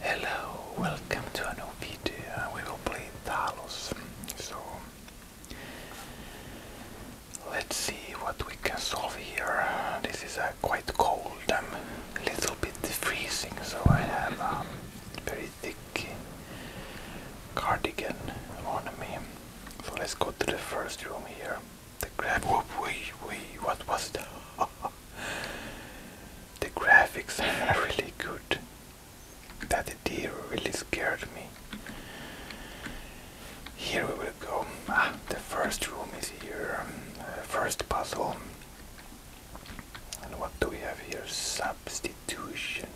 Hello, welcome to a new video. We will play Talos. So let's see what we can solve here. This is uh, quite cold. i a little bit freezing, so I have a um, very thick cardigan on me. So let's go to the first room here. The grab. Whoop, wee, wee. What was that? the graphics are really good. That deer really scared me. Here we will go. Ah, the first room is here. Um, uh, first puzzle. And what do we have here? Substitution.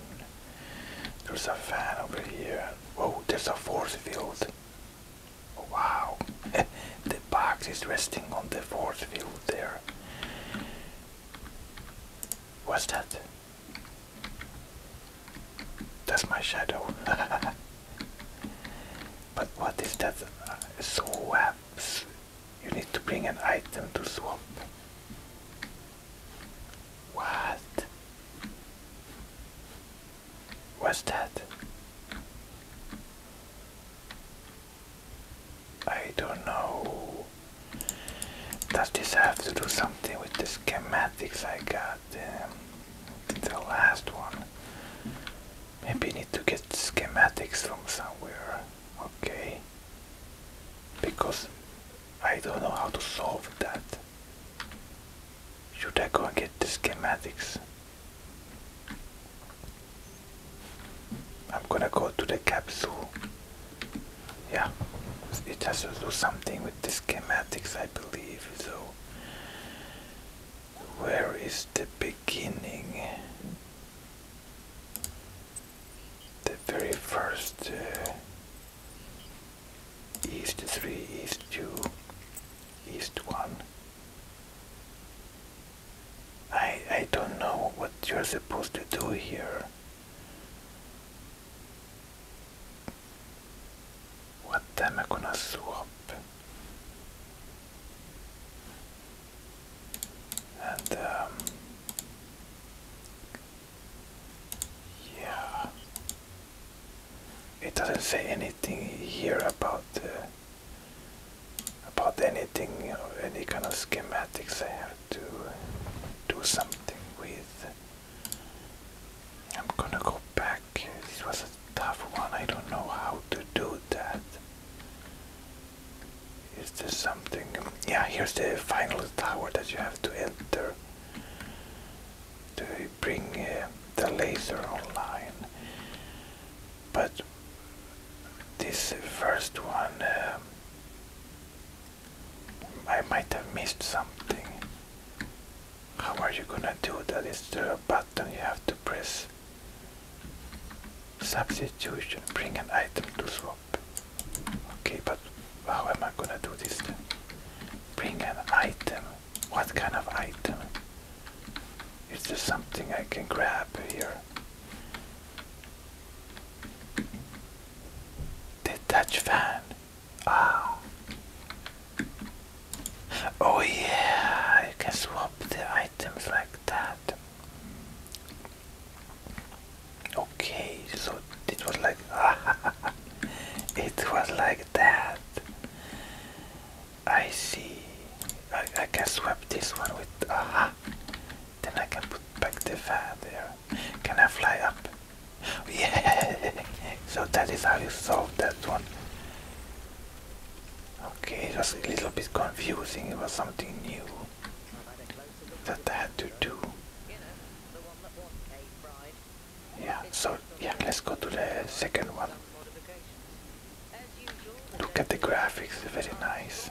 There's a fan over here. Whoa, there's a force field. Wow. the box is resting on the fourth field there. What's that? That's my shadow. but what is that? Uh, swaps. You need to bring an item to swap. What? What's that? I don't know. Does this have to do something with the schematics I got? Um, the last one. Maybe I need to get schematics from somewhere. Okay. Because I don't know how to solve that. Should I go and get the schematics? I'm gonna go to the capsule. Yeah, it has to do something with the schematics, I believe. So, where is the beginning? The very first uh, east 3, east 2, east 1. I I don't know what you're supposed to do here. What am I gonna swap? And um, yeah. It doesn't say anything here about about anything you any kind of schematics there to do something with. I'm gonna go back. This was a tough one. I don't know how to do that. Is there something? Yeah, here's the final tower that you have to enter to bring uh, the laser online but this first one uh, I might have missed something. How are you gonna do that? Is there a button you have to press? Substitution, bring an item to swap. Okay, but how am I gonna do this then? Bring an item. What kind of item? Is there something I can grab here? The Dutch fan. Ah. Oh yeah, you can swap the items like that. Okay, so it was like it was like that. I see. I, I can swap this one with then I can put back the fan there. Can I fly up? Yeah, so that is how you solve that one. Okay, it was a little bit confusing. It was something new that I had to do. Yeah, so yeah, let's go to the second one. Look at the graphics, very nice.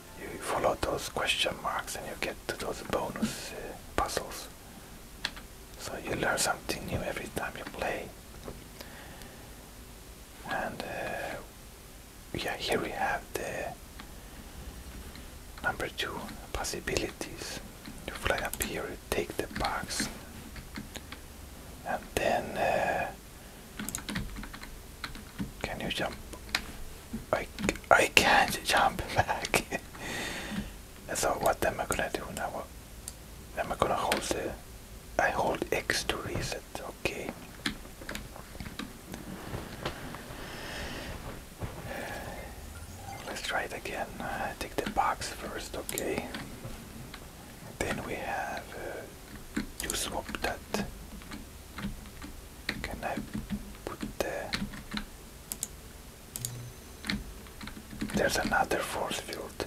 you follow those question marks and you get to those bonus uh, puzzles. So you learn something new every time you play. And uh, yeah, here we have the number two possibilities. You fly up here, you take the box, and then uh, can you jump? I, I can't jump back. so what am I gonna do now? Am I gonna hold the... I hold X to reset, okay. Let's try it again. Uh, take the box first, okay. Then we have uh, you swap that. Can I put the... There's another force field.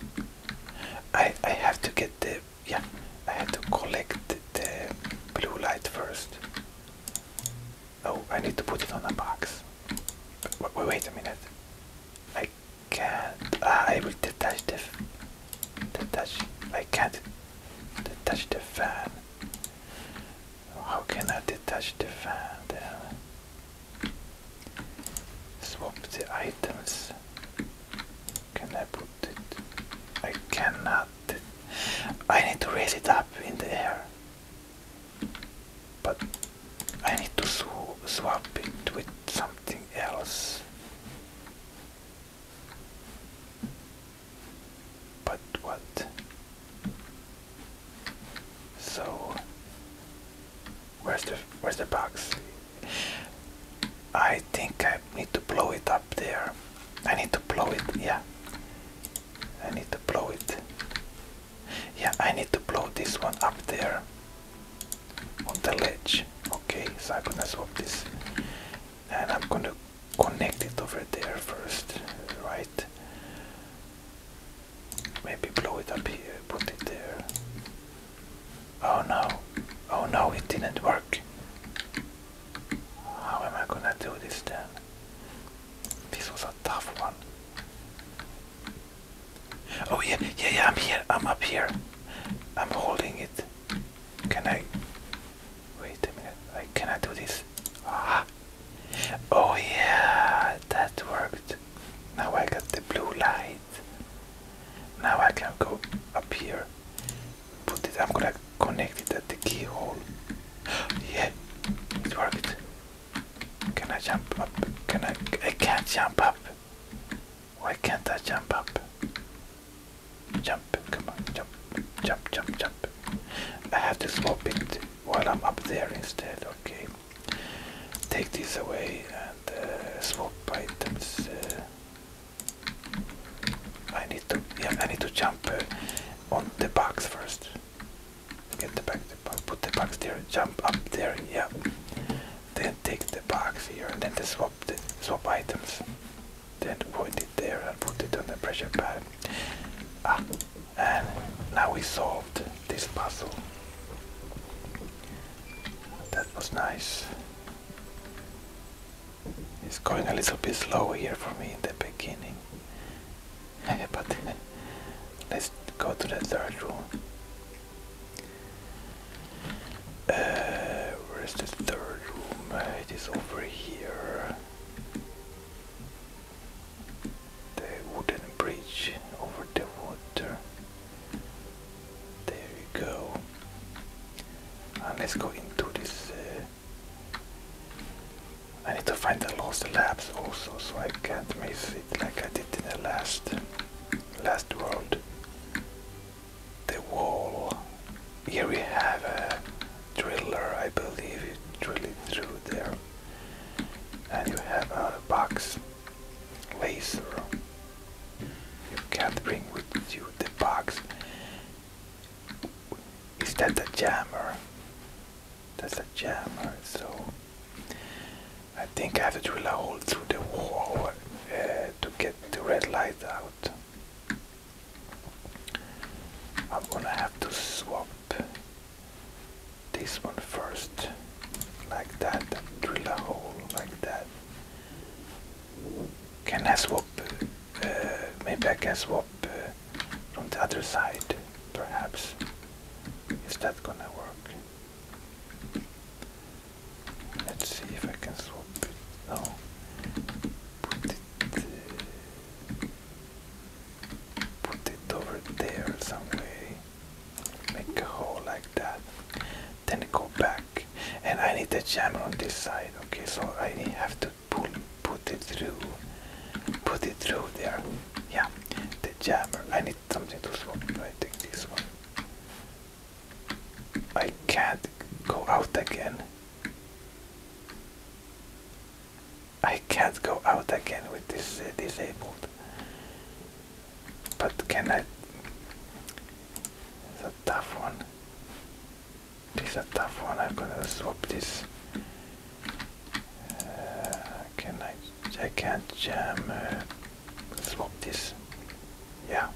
I I have to get the yeah. I have to collect the blue light first. Oh, I need to put it on a box. Wait, a minute. I can't. Ah, I will detach this. detach. I can't Detach the fan. How can I detach the fan Swap the items. Can I put it? I cannot. I need to raise it up in the air. But I need to swap it with something else. But what? So where's the where's the box? I think I need to blow it up there. I need to blow it. Yeah. I need to blow it. Yeah, I need to blow this one up there on the ledge. Okay, so I'm gonna swap this and I'm gonna connect it over there first, right? Maybe blow it up here, put it there. Oh no, oh no, it didn't work. How am I gonna do this then? This was a tough one. Oh yeah, yeah, yeah, I'm here, I'm up here. I'm holding it. Can I Wait a minute, I cannot do this. Ah. Oh yeah, that worked. Now I got the blue light. Now I can go up here. Put it, I'm gonna connect it at the keyhole. yeah, it worked. Can I jump up? Can I? I can't jump up. Why can't I jump up? Jump, come on, jump, jump, jump, jump. I have to swap it while I'm up there instead, okay. Take these away and uh, swap items. Uh, I need to, yeah, I need to jump uh, on the box first. Get the box, put the box there, jump up there, yeah. Then take the box here and then swap the swap items. Then put it there and put it on the pressure pad. Ah, and now we solved this puzzle. That was nice. It's going a little bit slow here for me in the beginning. but let's go to the third room. Uh, where is the third room? It is over here. The wooden bridge over the water. There you go. And let's go into this. Uh, I need to find the lost labs also, so I can't miss it like I did in the last last world the wall. Here we have a driller, I believe you drill through there. And you have a box laser. You can't bring with you the box. Is that a jammer? That's a jammer, so I think I have to drill a hole through the wall uh, to get the red light out. I'm gonna have to swap this one first, like that, and drill a hole like that. Can I swap? Uh, maybe I can swap uh, on the other side, perhaps. Is that gonna work? Let's see if I can swap it. No. Put it. Uh, Put it over there some way. Make a hole like that. Then go back. And I need a jammer on this side. Okay, so I have to pull, put it through. Put it through there. Yeah, the jammer. I need something to swap. I take this one. I can't go out again. I can't go out again with this uh, disabled. But can I? It's a tough one. This is a tough one. I'm gonna swap this. Uh, can I? I can't jam. Uh, swap this. Yeah.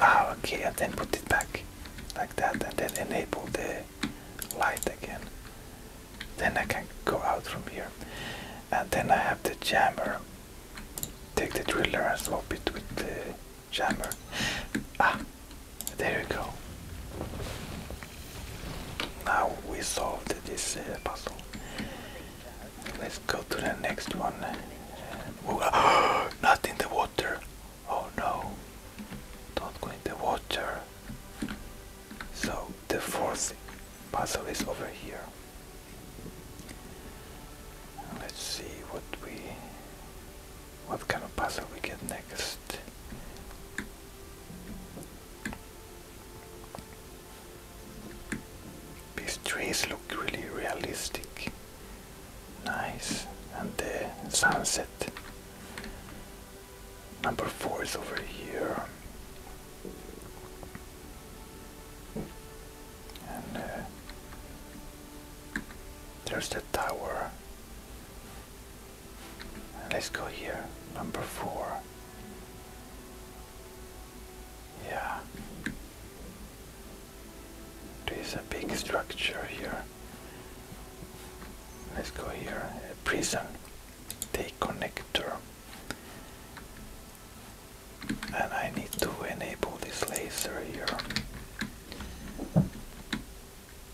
Ah, okay. And then put it back like that, and then enable the light again. Then I can go out from here. And then I have the jammer. Take the driller and swap it with the jammer. Ah, there you go. Now we solved this uh, puzzle. Let's go to the next one. not in the water. Oh no, don't go in the water. So the fourth puzzle is over here. Let's see what we what kind of puzzle we get next. These trees look really realistic. Nice. And the sunset Number four is over here. And uh, there's the tower. let's go here. Number four. Yeah. There is a big structure here. Let's go here. Uh, prison. Take connector. And I need to enable this laser here.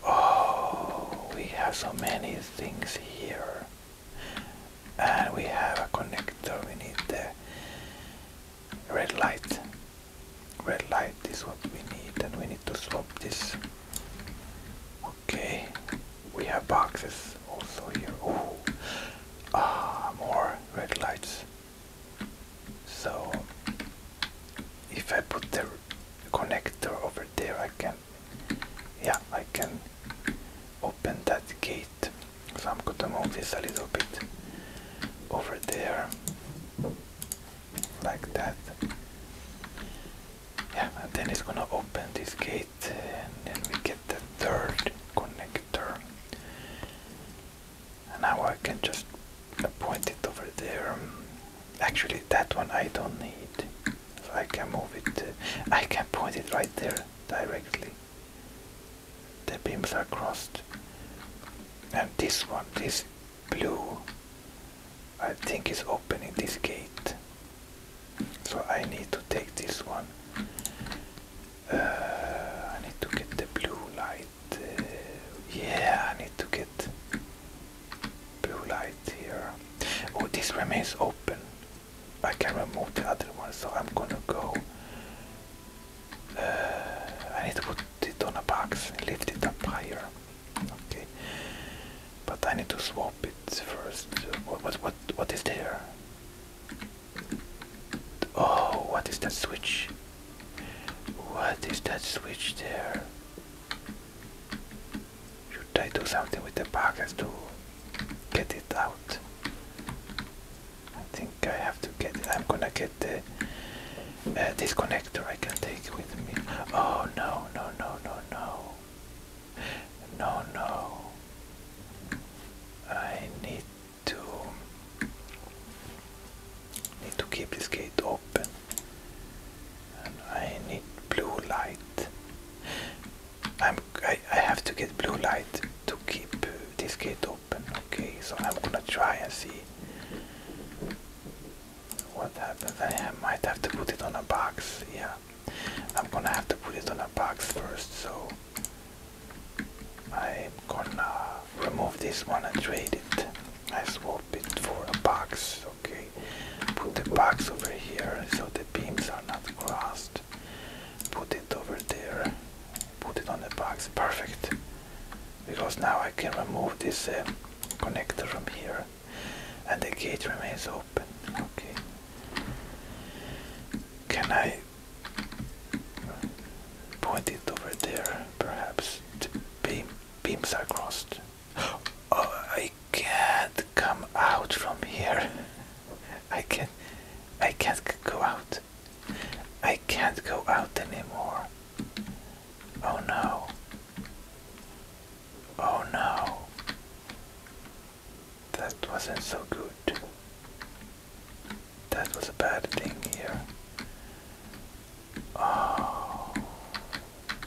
Oh, we have so many things here. And we have a connector. We need the red light red light is what we need and we need to swap this okay we have boxes also here oh ah more red lights so if I put the connector over there I can yeah I can open that gate so I'm gonna move this a little bit over there like that yeah and then it's gonna open this gate and then we get the third connector and now I can just point it over there actually that one I don't need so I can move it I can point it right there directly the beams are crossed and this one this blue I think is opening this gate so I need to take this one uh, I need to get the blue light uh, yeah I need to get blue light here oh this remains open I can remove the other one so I'm gonna go uh, I need to put it on a box and lift it up higher Okay, but I need to swap it first. What what what what is there? Oh, what is that switch? What is that switch there? Should I do something with the packets to get it out? I think I have to get it. I'm gonna get the uh, this connector I can take with me. Oh no, no, no, no, no. No, no. I need to need to keep this gate open. I need blue light. I'm I, I have to get blue light to keep uh, this gate open. Okay, so I'm gonna try and see what happens? I might have to put it on a box. Yeah, I'm gonna have to put it on a box first. So I'm gonna remove this one and trade it. I swap it for a box. Okay, put the box over here so the beams are not crossed. Put it over there. Put it on the box. Perfect. Because now I can remove this uh, connector from here and the gate remains open. Okay. Can I point it over there? Perhaps the beams are crossed. Oh, I can't come out from here. I can't. I can't go out. I can't go out anymore. Oh no. Oh no. That wasn't so good. That was a bad thing here. Oh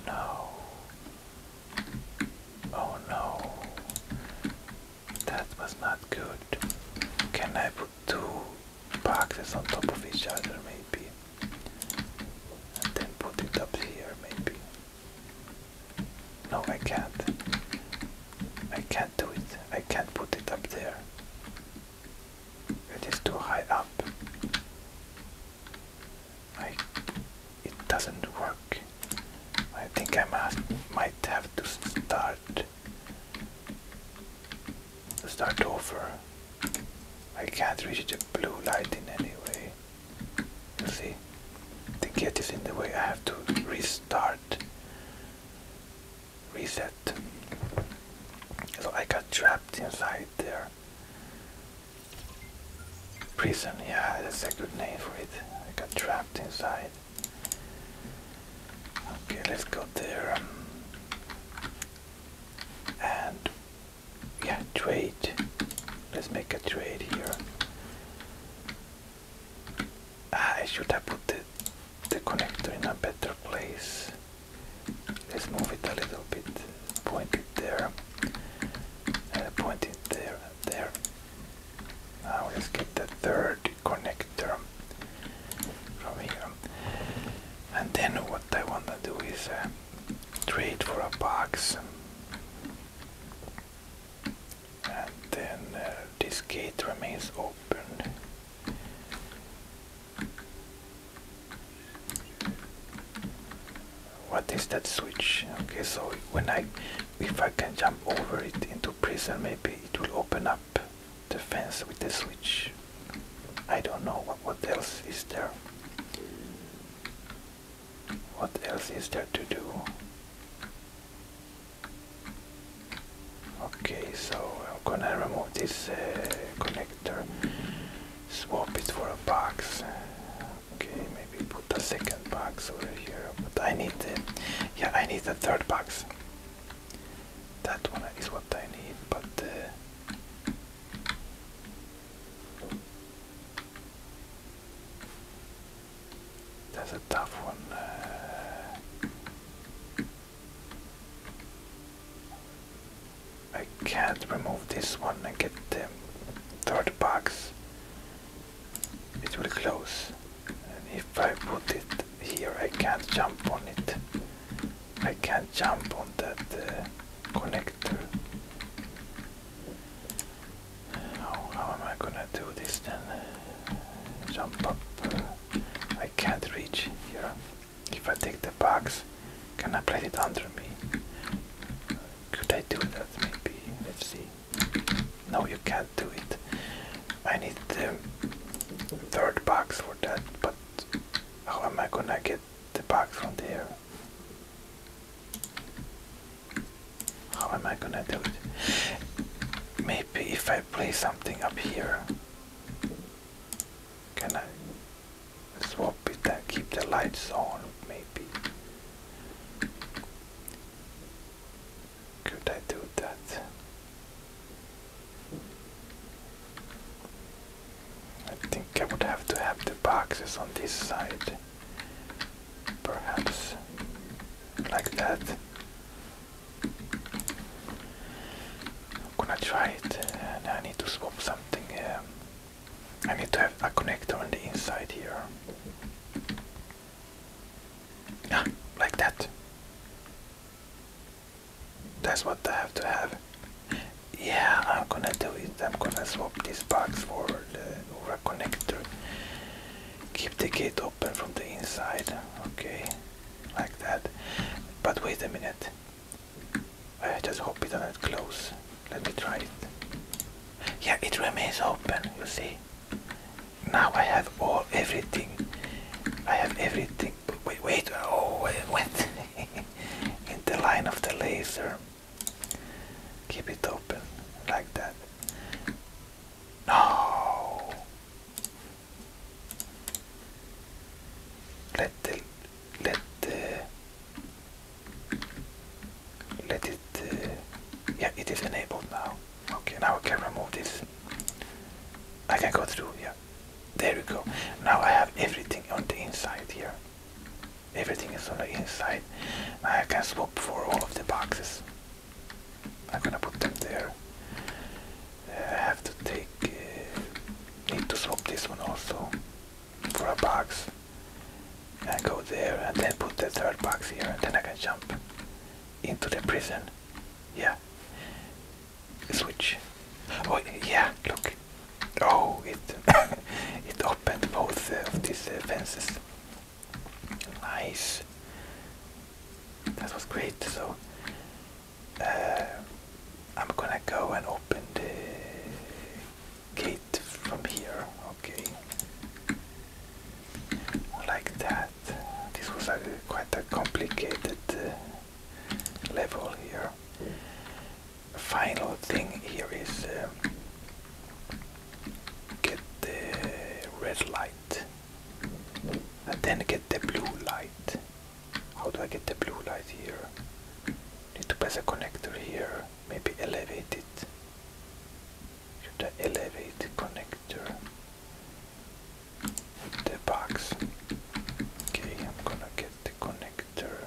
no. Oh no. That was not good. Can I put two boxes on top of each other maybe? and then put it up here maybe. No, I can't. I can't do it. I can't put it up there. It is too high up. I, it doesn't work. I think I might have to start start over. I can't reach the blue light in any way. See, the gate is in the way. I have to restart, reset. So I got trapped inside there. Prison, yeah, that's a good name for it. I got trapped inside. Okay, let's go there. Um, and yeah trade let's make a trade here ah, I should have put the, the connector in a better place let's move it a little bit point it there uh, point it there there now let's get the third connector from here and then what I want to do is uh, trade for a box and then uh, this gate remains open. What is that switch? Okay, so when I, if I can jump over it into prison, maybe it will open up the fence with the switch. I don't know what, what else is there. What else is there to do? Okay, so I'm gonna remove this uh, connector, swap it for a box. Okay, maybe put a second box over here, but I need, the, yeah, I need the third box. That one is what I need, but uh, that's a tough one. Uh, I can't remove this one and get the third box. It will close. And if I put it here, I can't jump on it. I can't jump on that uh, connector. How, am I gonna do this then? Jump up. I can't reach here. If I take the box, can I place it under me? Could I do that maybe? Let's see. No, you can't do it. I need the third box for that, but how am I gonna get the box from there? How am I gonna do it? Maybe if I play something up here. Can I swap it and keep the lights on? Maybe. Could I do that? I think I would have to have the boxes on this side perhaps like that. I'm gonna try it and I need to swap something. Uh, I need to have a connector on the inside here. Ah, like that. That's what I have to have yeah I'm gonna do it I'm gonna swap this box for the Ura connector keep the gate open from the inside okay like that but wait a minute I just hope it doesn't close let me try it yeah it remains open you see now I have all everything I have everything wait wait oh it went in the line of the laser Keep it open like that. No. Let the let the let it. Uh, yeah, it is enabled now. Okay, now I can remove this. I can go through. Yeah, there we go. Now I have everything on the inside here. Everything is on the inside. I can swap for all of the boxes. I'm gonna put them there. Uh, I have to take. Uh, need to swap this one also for a box. And go there, and then put the third box here, and then I can jump into the prison. Yeah. Switch. Oh yeah, look. Oh, it it both of these fences. Nice. That was great. So uh, I'm gonna go and open the gate from here. Okay. Like that. This was a, quite a complicated uh, level here final thing here is uh, get the red light and then get the blue light. How do I get the blue light here? Need to place a connector here, maybe elevate it. Should I elevate the connector with the box? Okay, I'm gonna get the connector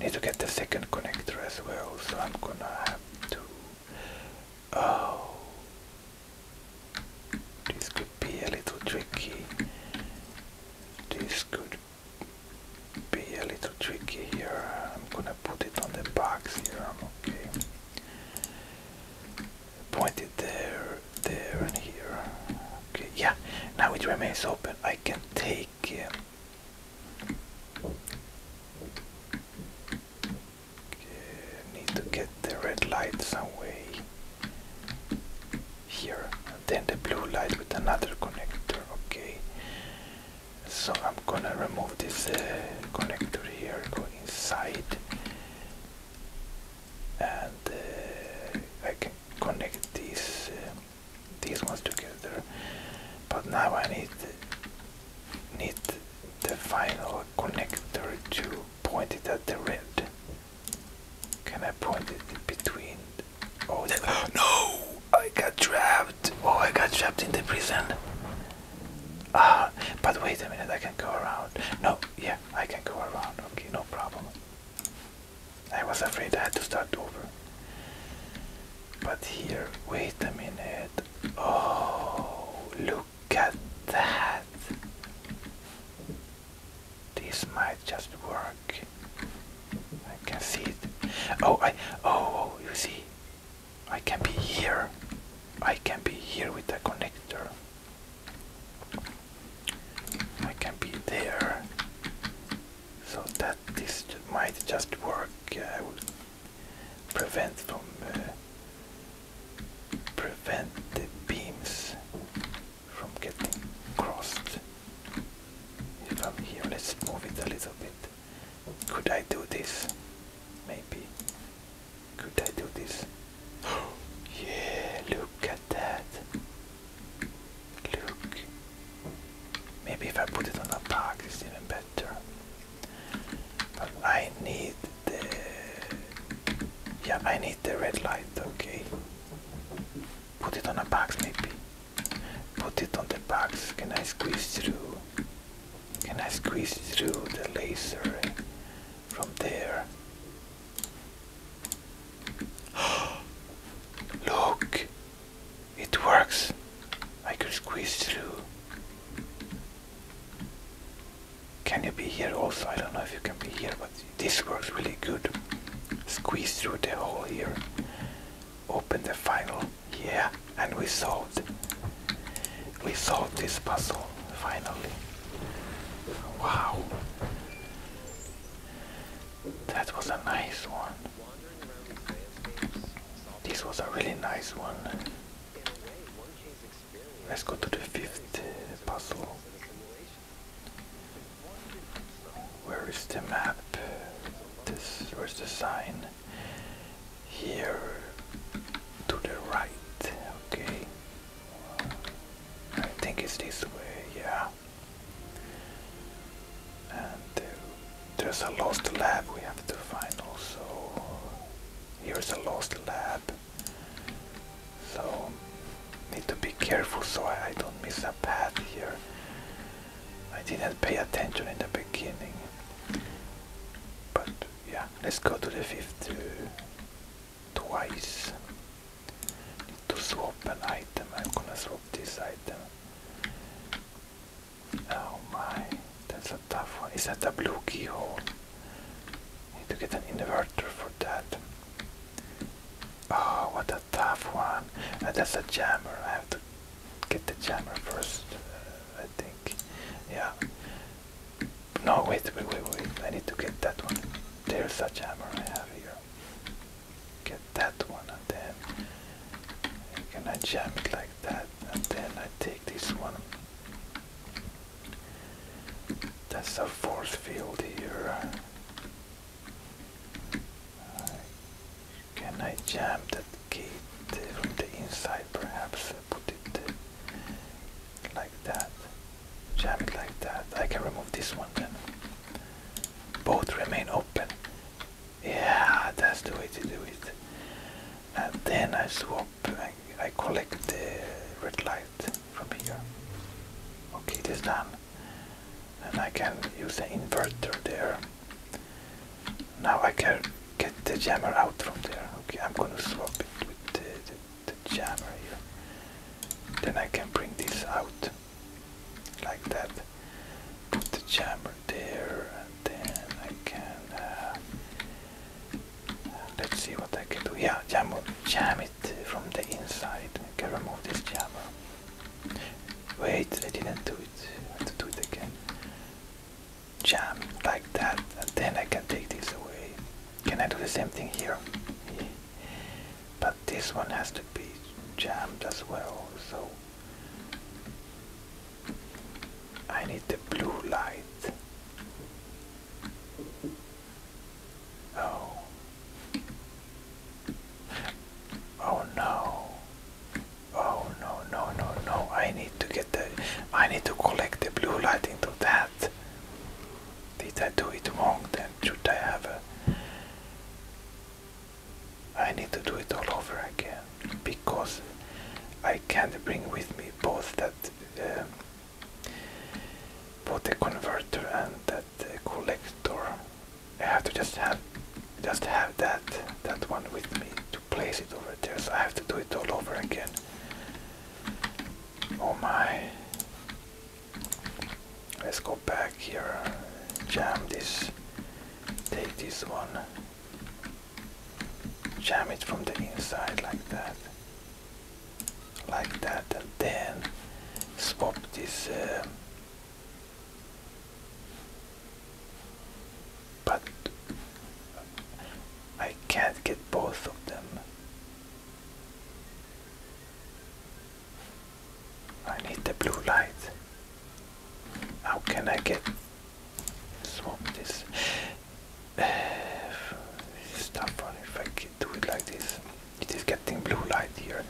Need to get the second connector as well, so I'm gonna have to. Oh, this could be a little tricky. This could be a little tricky here. I'm gonna put it on the box here. I'm okay. Point it there, there, and here. Okay, yeah. Now it remains open. I can take need to get the red light some way here, then the blue light with another connector. Okay, so I'm gonna remove this uh, connector here, go inside, and uh, I can connect this. Uh, these ones together. But now I need need the final connector to point it at the red. Can I point it between? Oh, no! I got trapped. Oh, I got trapped in the prison. Ah, but wait a minute. I can go around. No, yeah, I can go around. Okay, no problem. I was afraid I had to start over. But here, wait a minute. Oh, look at that. This might just work. I can see it. Oh, I. Oh, oh you see. I can be here. I can be here with the connector. I can be there so that this might just work I will prevent from uh, prevent the beams from getting crossed if I'm here let's move it a little bit could I do this maybe could I do this yeah look at that look Maybe if I put it on a box, it's even better. But I need the yeah, I need the red light. Okay, put it on a box maybe. Put it on the box. Can I squeeze through? Can I squeeze through the laser from there? Look, it works. I can squeeze through. Can you be here also? I don't know if you can be here, but this works really good. Squeeze through the hole here. Open the final. Yeah, and we solved. We solved this puzzle, finally. Wow. That was a nice one. This was a really nice one. Let's go to the fifth puzzle. Where is the map? This where's the sign? Here to the right. Okay. I think it's this way, yeah. And uh, there's a lost lab we have to find also. Here's a lost lab. So need to be careful so I, don't miss a path here. I didn't pay attention in the beginning. But yeah, let's go to the fifth uh, twice. Need to swap an item. I'm gonna swap this item. Oh my, that's a tough one. Is that a blue keyhole? I need to get an inverter for that. Oh, what a tough one. Uh, that's a jammer. I have to get the jammer first, uh, I think. Yeah. No, wait, wait, wait, wait. I need to get that one. There's a jammer I have here. Get that one and then can I jam it like that and then I take this one. That's the fourth field here. can I jam that gate from the inside perhaps? Uh, put it like that. Jam it like that. I can remove this one then. Both remain open. Yeah, that's the way to do it. And then I swap, I, I collect the red light from here. Okay, it is done. And I can use the inverter there. Now I can get the jammer out from there. Okay, I'm gonna swap it with the jammer here. Then I can bring this out like that put the jammer there and then I can uh, let's see what I can do. Yeah, jam, jam it from the inside. I can remove this jammer. Wait, I didn't do it. I have to do it again. Jam like that and then I can take this away. Can I do the same thing here? But this one has to be jammed as well, so I need the blue light. Oh. Oh no. Oh no no no no. I need to get the I need to collect the blue light into that. Did I do it wrong then? Should I have a I need to do it all over again because I can't bring with me both that um, both the converter and that uh, collector. I have to just have just have that that one with me to place it over there. So I have to do it all over again. Oh my! Let's go back here. Jam this. Take this one jam it from the inside like that like that and then swap this uh, but I can't get both of them I need the blue light how can I get swap this uh, stuff if I could do it like this. It is getting blue light here,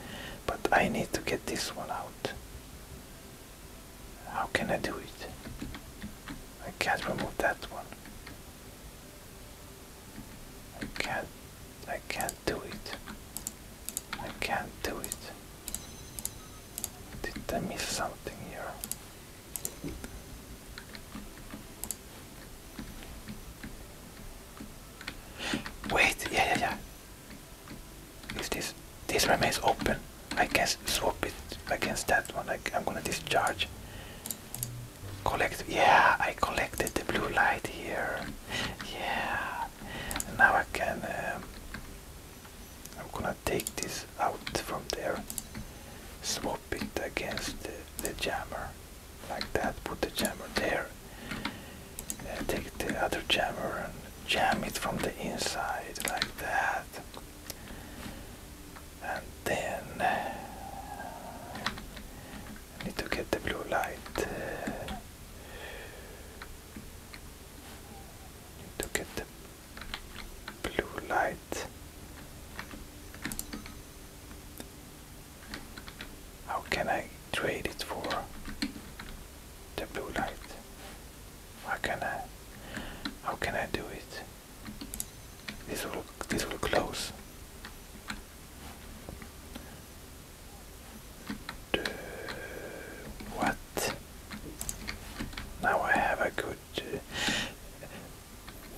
but I need to get this one out. How can I do it? I can't remove that one. I can't I can't do it. I can't do it. Didn't I miss something here? Wait, yeah, yeah, yeah. If this this remains open, I can swap it against that one. I, I'm gonna discharge. Collect. Yeah, I collected the blue light here. Yeah. Now I can. Um, I'm gonna take this out from there, swap it against the, jammer, like that, put the jammer there, uh, take the other jammer and jam it from the inside, like that, and then I need to get the blue light. Uh, need to get the blue light. How can I trade it for the blue light? How can I how can I do it? This will this will close. The, what? Now I have a good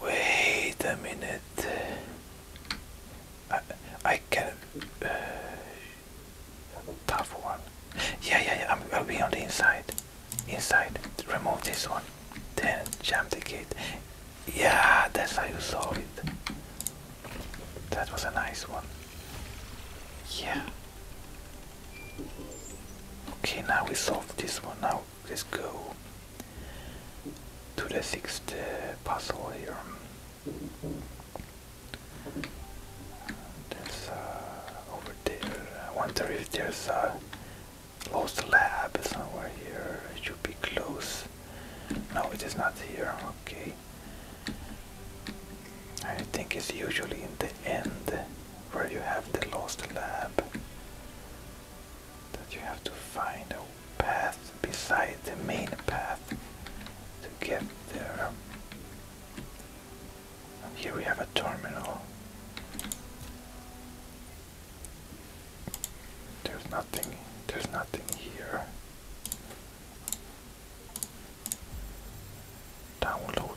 wait a minute. I, I can. Uh, tough one. Yeah, yeah, yeah. i I'll be on the inside. Inside. Remove this one. Then jam the gate. Yeah, that's how you solve it. That was a nice one. Yeah. Okay, now we solved this one. Now let's go to the sixth uh, puzzle here. There's uh, over there. I wonder if there's a lost lab somewhere here. It should be close. No, it is not here. Okay. I think it's usually in the end where you have the lost lab that you have to find a path beside the main path to get there. here we have a terminal. There's nothing there's nothing here. Downloading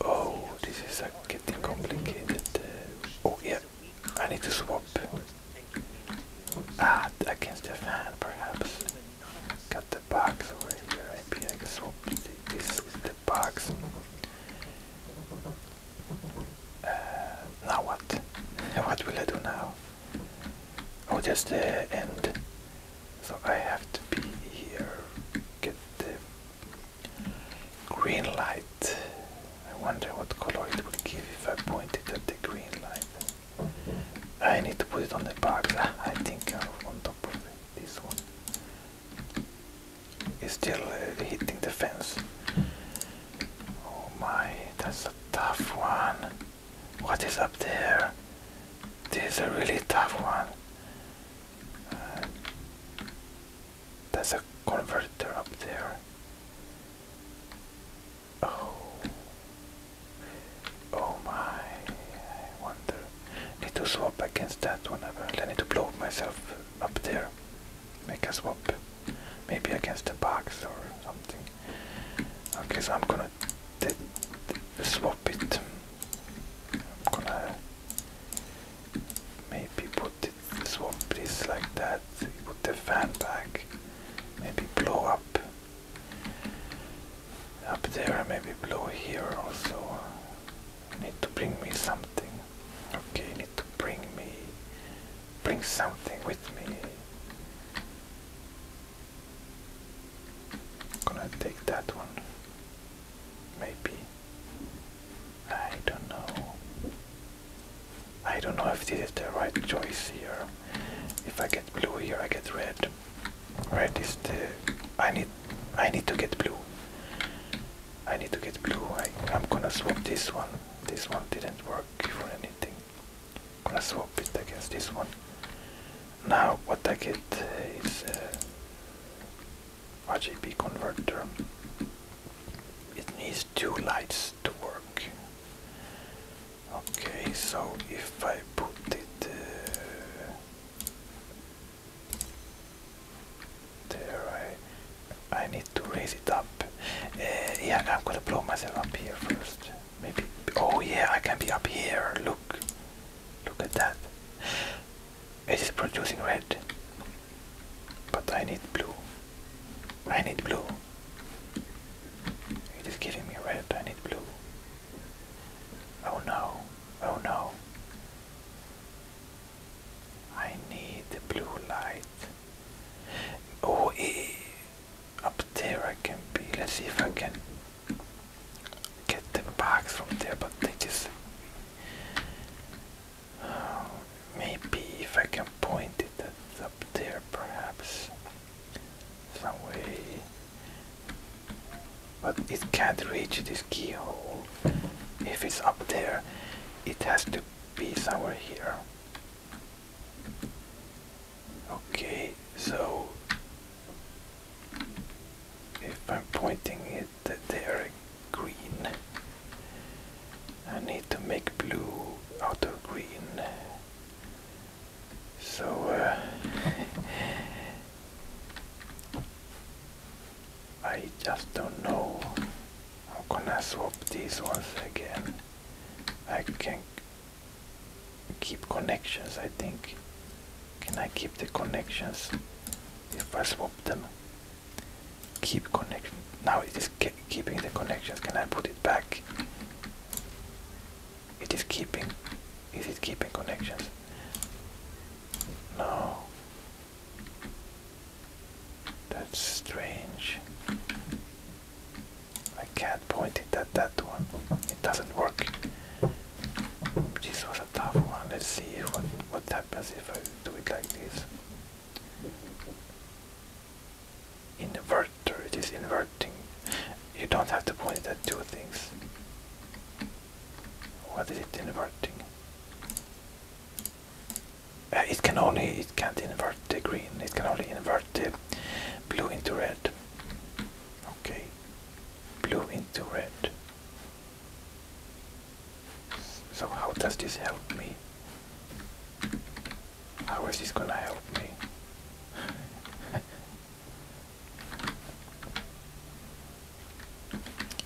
Oh, this is getting complicated. Uh, oh, yeah, I need to swap. Ah, against the fan, perhaps. Got the box over here. Maybe I can swap this with the box. Uh, now what? what will I do now? Oh, just the uh, end. So I have to be here. Get the Green light. I wonder what color it would give if I point it at the green light. I need to put it on the box. Ah, I think on top of This one is still uh, hitting the fence. Oh my, that's a tough one. What is up there? This is a really tough one. Uh, there's a converter up there. Oh. Oh my. I wonder. I need to swap against that whenever. I need to blow myself up there. Make a swap. Maybe against the box or something. Okay, so I'm gonna swap it. I'm gonna Maybe put it, this one place like that. Put the fan back. Maybe blow up. Up there maybe blow here also. Need to bring me something. Okay, need to bring me. Bring something with me. Gonna take that one. Maybe. I don't know. I don't know if this is the right choice here. If I get blue here, I get red. Red is the. I need. I need to get blue. I need to get blue. I, am gonna swap this one. This one didn't work for anything. I'm gonna swap it against this one. Now what I get is. Uh, RGB converter. It needs two lights to work. Okay, so if I put it uh, there, I need to raise it up. Uh, yeah, I'm gonna blow myself up here first. Maybe. Oh yeah, I can be up here. Look, look at that. It is producing red. But I need blue. I need blue. It is giving me red. I need blue. Oh no. Oh no. I need the blue light. Oh, eh. up there I can be. Let's see if I can get the box from there, but they just maybe if I can point it at, up there, perhaps. Some way. But it can't reach this keyhole. If it's up there, it has to be somewhere here. Okay, so if I'm pointing it that they are green. I need to make blue out of green. So, uh, I just don't know. I'm gonna swap these once again. I can keep connections, I think. Can I keep the connections if I swap them? Keep connection. Now it is keeping the connections. Can I put it back? It is keeping. Is it keeping connections? No. That's strange. I can't point it at that one. It doesn't work. This was a tough one. Let's see what, what happens if I do it like this. Inverter, it is inverting. You don't have to point at two things. What is it inverting? Uh, it can only, it can't invert the green, it can only invert the blue into red. Okay, blue into red. So how does this help me? How is this gonna help me?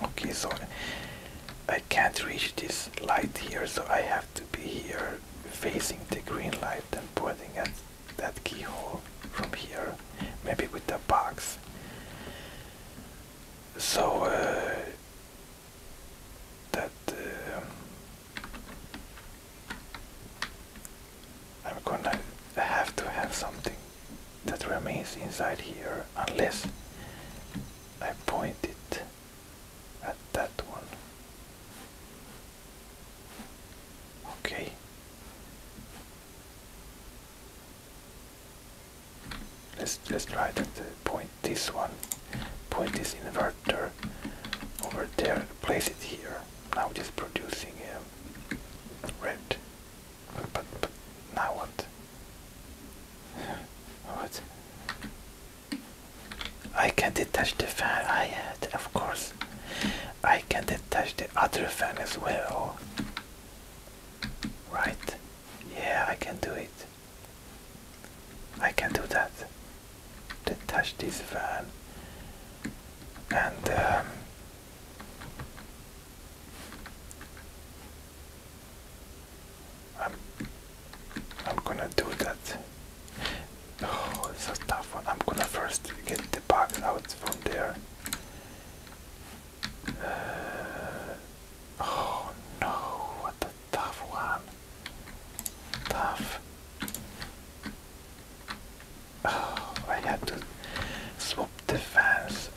okay, so I can't reach this light here, so I have to be here facing the green light and pointing at that keyhole from here, maybe with the box. So uh, that uh, I'm gonna have to have something that remains inside here unless I point it at that one. Okay. Let's let try to point this one. Point this inverter over there. Place it here. Now just producing um, red. but now what? what? I can detach the fan. I had, of course. I can detach the other fan as well. Right? Yeah, I can do it. I can do that. Detach this van and um, I'm I'm gonna do that. Oh, it's a tough one. I'm gonna first get the bug out from there. Uh, oh no! tough one. Tough. Oh, I had to swap the fans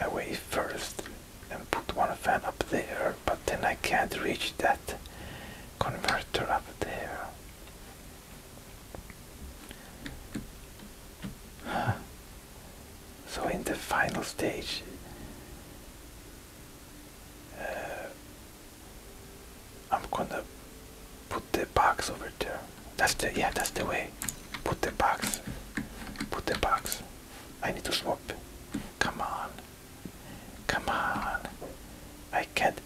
away first and put one fan up there, but then I can't reach that converter up there. So in the final stage, uh, I'm gonna put the box over there. That's the yeah, that's the way. Put the box. Put the box. I need to swap. Come on. Come on. I can't.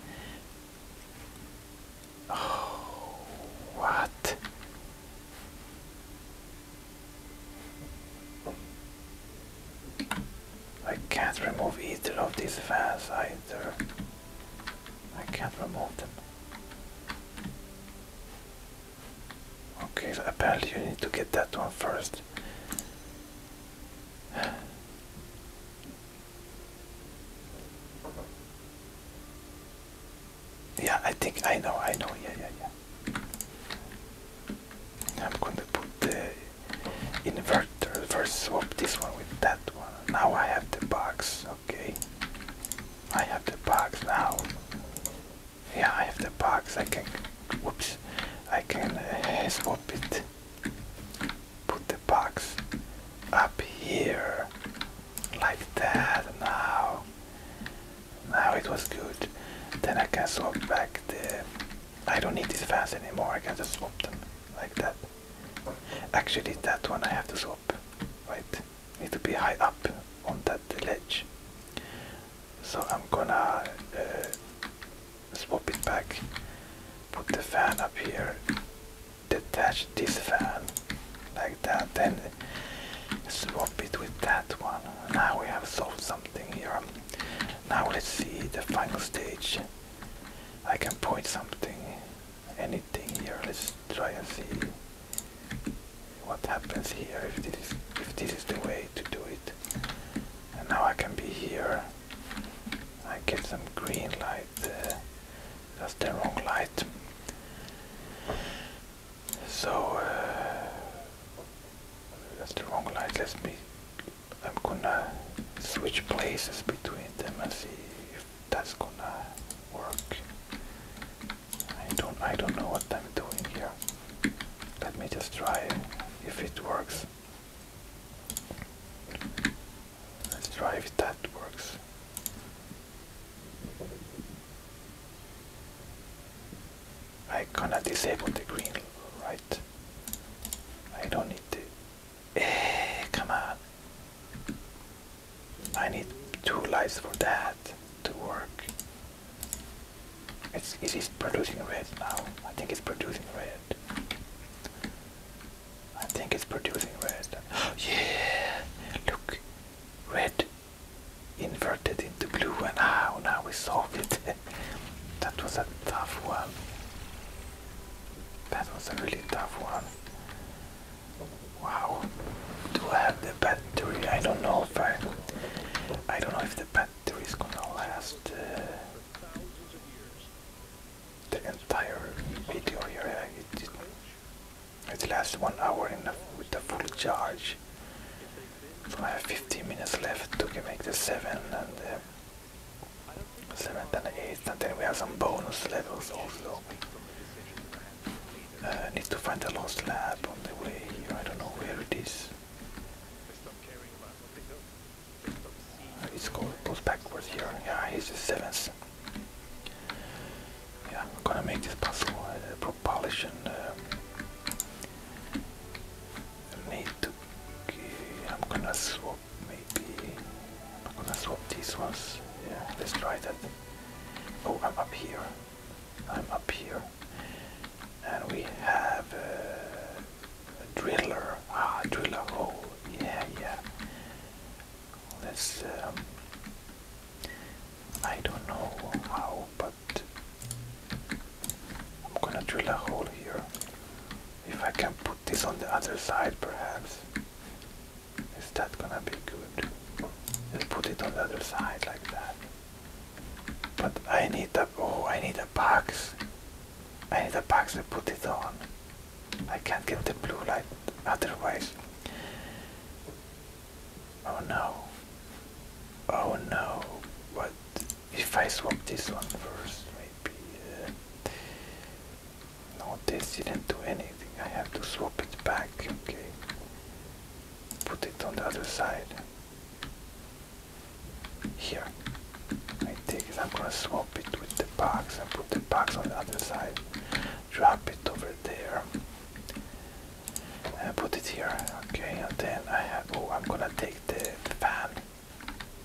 Oh, what? I can't remove either of these fans either. I can't remove them. Okay, apparently you need to get that one first. Yeah, I think I know, I know, yeah, yeah, yeah. I'm gonna put the inverter first swap this one with that one. Now I have the box, okay. I have the box now. Yeah, I have the box. I can whoops. I can uh, swap it. Put the box up here like that now. Now it was good. Then I can swap back the I don't need these fans anymore. I can just swap them like that. Actually, that one I have to swap. Wait, need to be high up on that ledge. So I'm gonna uh, swap it back. Put the fan up here. Detach this fan like that. Then swap it with that one. Now we have solved something here. Now let's see the final stage. I can point something, anything here. Let's try and see what happens here if this is, if this is the way to do it. And now I can be here. I get some green light. Uh, that's the wrong light. So uh, that's the wrong line. Let's be. I'm gonna switch places between them and see if that's gonna work. I don't. I don't know what I'm doing here. Let me just try if it works. Let's try if that works. I gonna disable the green, right? I don't need to. Eh, come on. I need two lights for that to work. It's, it is producing red now. I think it's producing red. I think it's producing red. yeah! Look! Red inverted the blue one. how ah, now we solved it. that was a tough one. That was a really tough one. Wow. Do I have the battery? I don't know if I I don't know if the battery is gonna last uh, the entire video here. It, lasts one hour in with a full charge. So I have 15 minutes left to make the 7 and the 7th and the 8th and then we have some bonus levels also. Uh, need to find the lost lab on the way, here. I don't know where it is. Uh, it's called, goes backwards here, yeah, here's the 7th. Yeah, I'm gonna make this puzzle uh, propulsion uh, I need to. I'm gonna swap maybe. I'm gonna swap these ones. Yeah, let's try that. Oh, I'm up here. I'm up here. And we have a driller. Ah, a hole. Oh, yeah, yeah. Let's. Um, I don't know how, but I'm gonna drill a hole here. If I can put this on the other side, perhaps. Is that gonna be good? let put it on the other side like that. But I need a oh, I need a box. I need a box to put it on. I can't get the blue light otherwise. Oh no. Oh no. What if I swap this one first, maybe. Uh, no, this didn't do anything. I have to swap it back. Okay. Put it on the other side. Here. I take it. I'm gonna swap it with the box and put the box on the other side. Drop it over there. And uh, put it here. Okay. And then I have. Oh, I'm gonna take the fan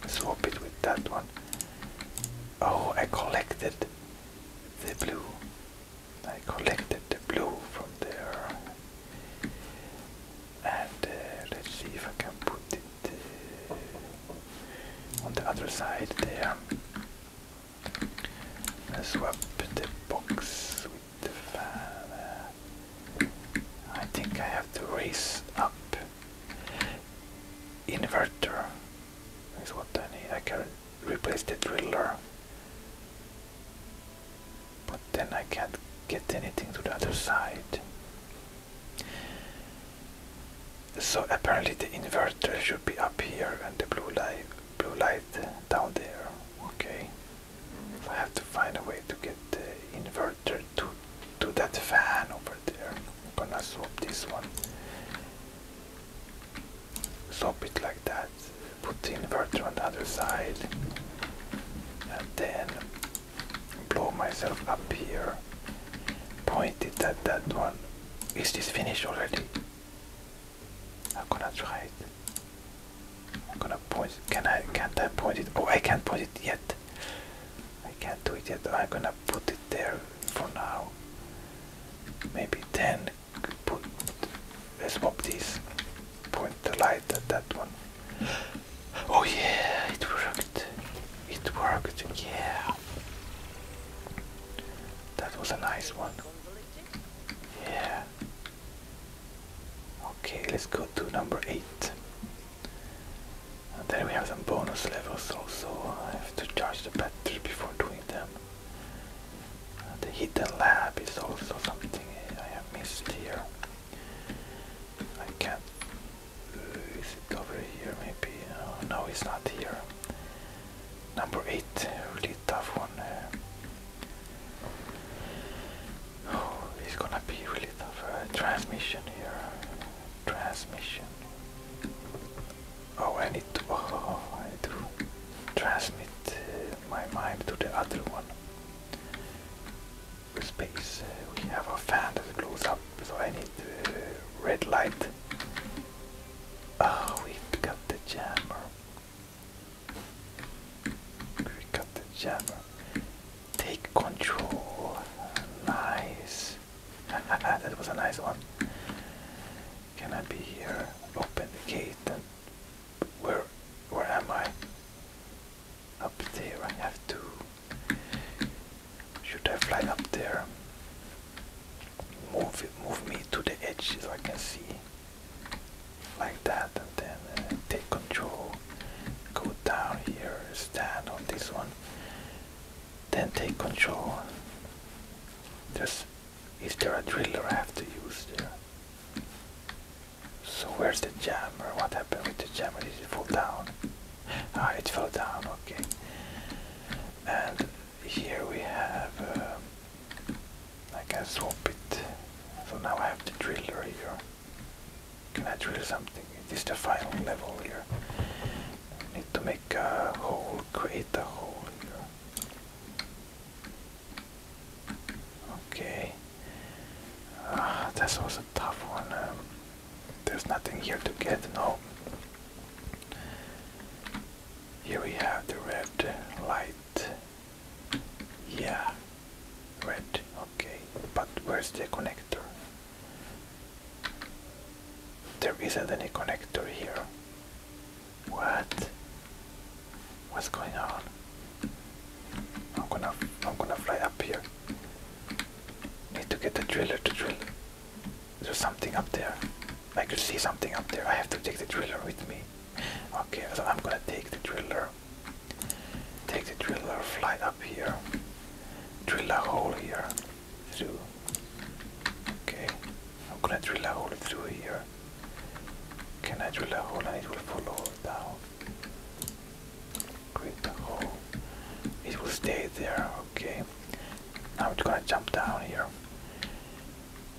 swap it with that one. Oh, I collected the blue. I collected the blue from there. And uh, let's see if I can put it uh, on the other side there. I swap the box with the fan. I think I have to raise up. Inverter is what I need. I can replace the driller. But then I can't get anything to the other side. So apparently the inverter should be up here and the blue light blue light down there. Okay. I have to find a way to get the inverter to to that fan over there. I'm gonna swap this one. Swap it like that. Put the inverter on the other side. And then blow myself up here. Point it at that one. Is this finished already? I'm gonna try it. I'm gonna point. Can I? Can't I point it? Oh, I can't point it yet. I can't do it yet. I'm gonna put it there for now. Maybe 10. Put, let's swap these. Point the light at that one. Oh yeah, it worked. It worked. Yeah. That was a nice one. Yeah. Okay, let's go to number 8. And then we have some bonus levels also. I have to charge the battery before doing them. the hidden lab is also something I have missed here. I can't. is it over here maybe? Oh, no, it's not here. Number 8, really tough one. Oh, it's gonna be really tough. Uh, transmission here. Transmission. Oh, I need to. Oh, oh, I need to transmit uh, my mind to the other one. space, uh, we have a fan that blows up, so I need uh, red light. Oh, we got the jammer. We have got the jammer. Take control. Nice. that was a nice one. Can I be here? Open the gate and where where am I? Up there I have to should I fly up there? Move it move me to the edge so I can see like that and then uh, take control go down here, stand on this one, then take control. There's, is there a driller I have to use there? So where's the jammer? What happened with the jammer? Did it fall down? Ah, it fell down, okay. And here we have, um, I can swap it. So now I have the driller here. Can I drill something? This is the final level here. I need to make a hole, create a hole here. Okay. Uh, ah, this was a tough one. Um, there's nothing here to get, no. Here we have the red light. Yeah, red, okay. But where's the connector? There isn't any connector here. What? What's going on? I'm gonna I'm gonna fly up here. Need to get the driller to drill. There's something up there. I can see something up there. I have to take the driller with me. Okay, so I'm gonna take the driller. Take the driller, fly up here drill a hole here through. Okay, I'm gonna drill a hole through here. Can I drill a hole and it will follow down? Create a hole. It will stay there, okay. Now I'm gonna jump down here.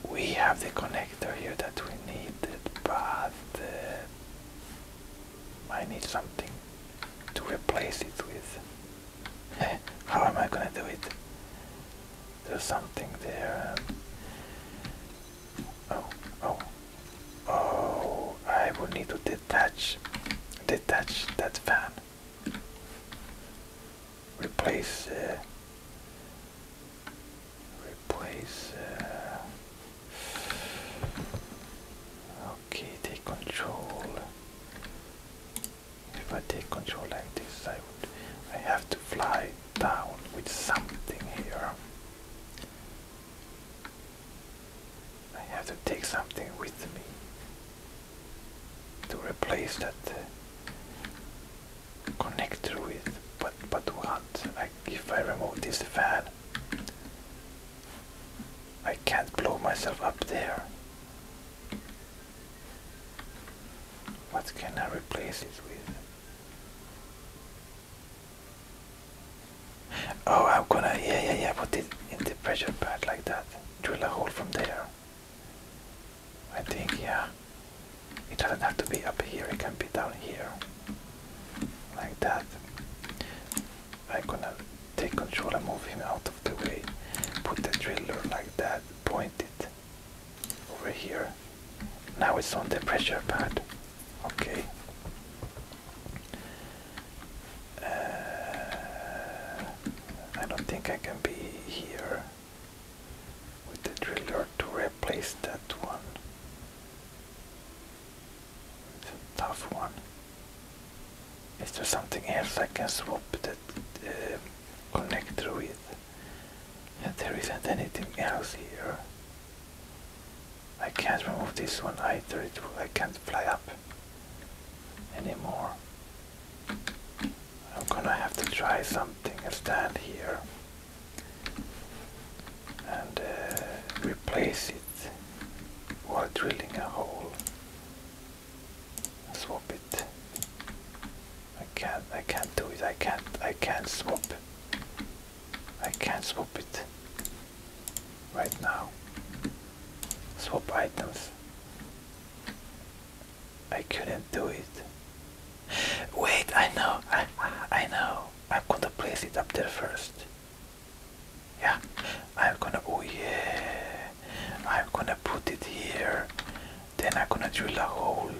We have the connector here that we needed, but uh, I need something to replace it with. How am I gonna do it? There's something there. Oh, oh, oh! I will need to detach, detach that fan. Replace, uh, replace. Uh, Okay, take control. If I take control like this, I would. I have to fly down with something here. I have to take something with me to replace that Connect uh, connector it, But but what? Like if I remove this fan, I can't blow myself up there. What can I replace it with? Oh, I'm gonna, yeah, yeah, yeah, put it in the pressure pad like that. Drill a hole from there. I think, yeah. It doesn't have to be up here, it can be down here. Like that. I'm gonna take control and move him out of the way. Put the driller like that, point it over here. Now it's on the pressure pad. Okay. Uh, I don't think I can be here with the driller to replace that one. It's a tough one. Is there something else I can swap that uh, connector with? And there isn't anything else here. I can't remove this one either. I can't fly up anymore. I'm gonna have to try something and stand here and uh, replace it while drilling a hole. Swap it. I can't. I can't do it. I can't. I can't swap. I can't swap it right now. Swap items. I couldn't do it. Wait, I know. I, I know. I'm gonna place it up there first yeah I'm gonna oh yeah I'm gonna put it here then I'm gonna drill a hole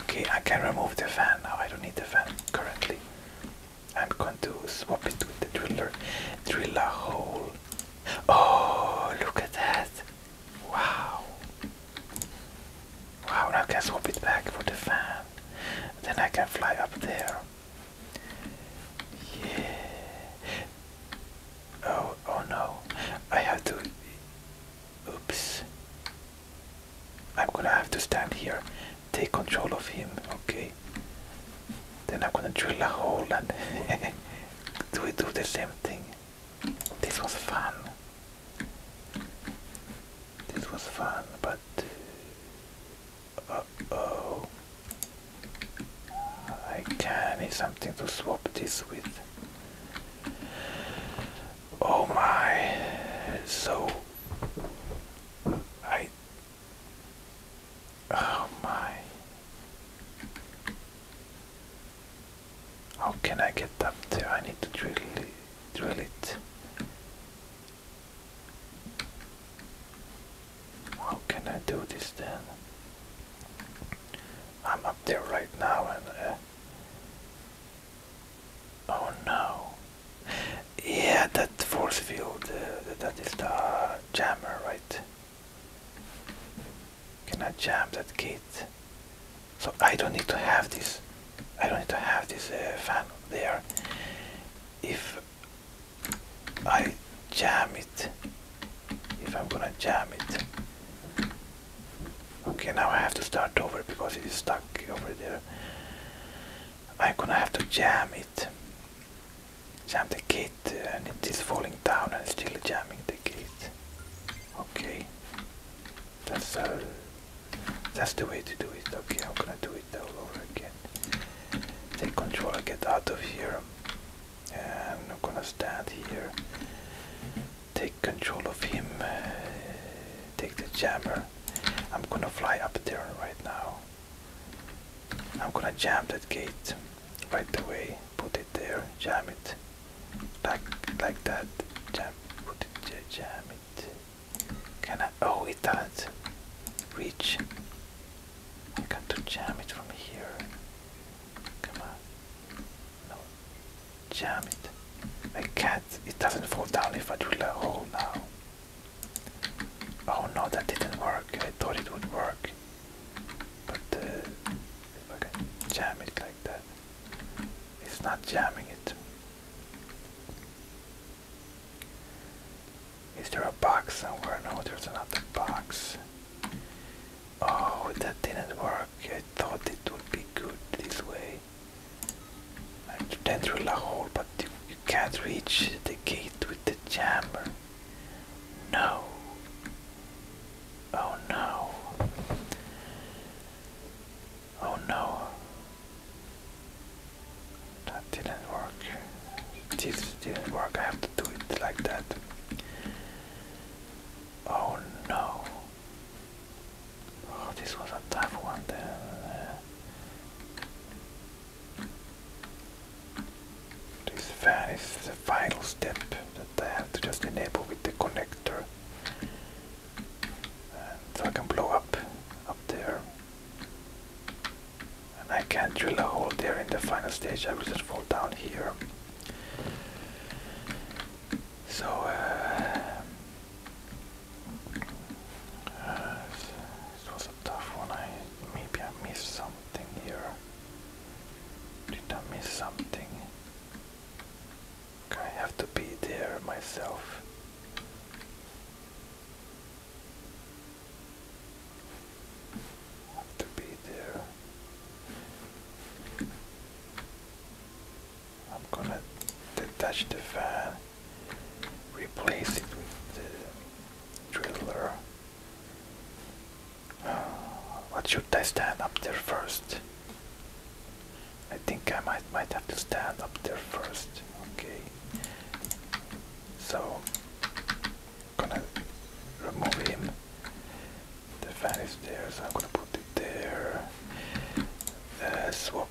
okay I can remove the fan now I don't need the fan currently I'm going to swap it with the driller drill a hole oh look at that wow wow now I can swap it back for the fan then I can fly up there yeah. Oh, oh no. I have to. Oops. I'm gonna have to stand here. Take control of him. Okay. Then I'm gonna drill a hole and do Do the same thing. This was fun. This was fun, but uh, oh I need something to swap this with. Oh my. So. I. Oh my. How can I get up there? I need to drill, drill it. How can I do this then? I'm up there right now and. Uh, oh no! Yeah, that force field, uh, that is the jammer, right? Can I jam that gate? So I don't need to have this. I don't need to have this uh, fan there. If I jam it if I'm gonna jam it. Okay, now I have to start over because it is stuck over there. I'm gonna have to jam it. Jam the gate and it is falling down and still jamming the gate. Okay. That's uh, that's the way to do it. Okay, I'm gonna do it all over again. Take control, get out of here. I'm not gonna stand here. Take control of him. Uh, take the jammer. I'm gonna fly up there right now. I'm gonna jam that gate right away. Put it there. Jam it. Like like that. Jam. Put it. Jam it. Can I? Oh, it doesn't reach. I got to jam it from here. Come on. No. Jam it. I can't. It doesn't fall down if I do a hole now. Oh no, that didn't work. I thought it would work. But uh, if I can jam it like that, it's not jamming it. Is there a box somewhere? No, there's another box. Oh, that didn't work. I thought it would be good this way. I went through the hole, but you can't reach the gate with the jammer. No. Oh no. Oh no. That didn't work. This didn't work. I have to do it like that. Oh no. Oh, this was a tough one then. This fan is the final step that I have to just enable with the connector. so I can blow up up there and I can't drill a hole there in the final stage I will just fall down here so uh, uh, was a tough one I maybe I missed something here did I miss something I have to be there myself have to be there. I'm gonna detach the fan, replace it with the driller. Uh, what should I stand up there first? I think I might might have to stand up there first. Okay. So gonna remove him. The fan is there, so I'm gonna put it there. swap.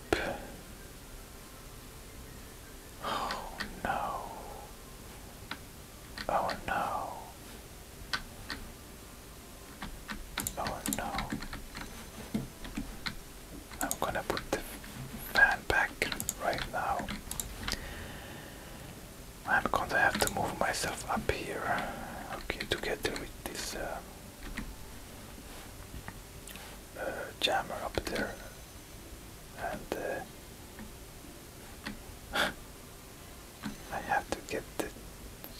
Oh no. Oh no. Oh no. I'm gonna put the fan back right now. I'm gonna have to move myself up here, okay, together with this uh, uh, jammer up there, and uh, I have to get the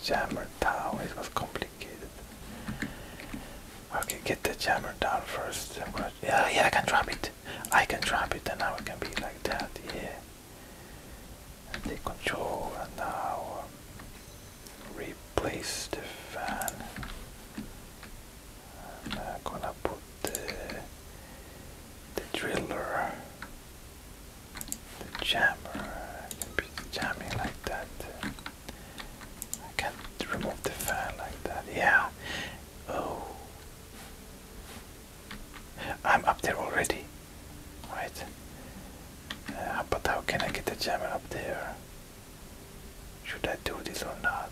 jammer down. It was complicated. Okay, get the jammer down 1st yeah, yeah, I can drop it. I can drop it and now it can be like that, yeah. And take control and now um, replace the fan. I'm gonna put the, the driller, the jammer, I can be jamming like that. I can remove the fan like that, yeah. Oh. I'm up there already. Right. Uh, but how can I get the jammer up there? Should I do this or not?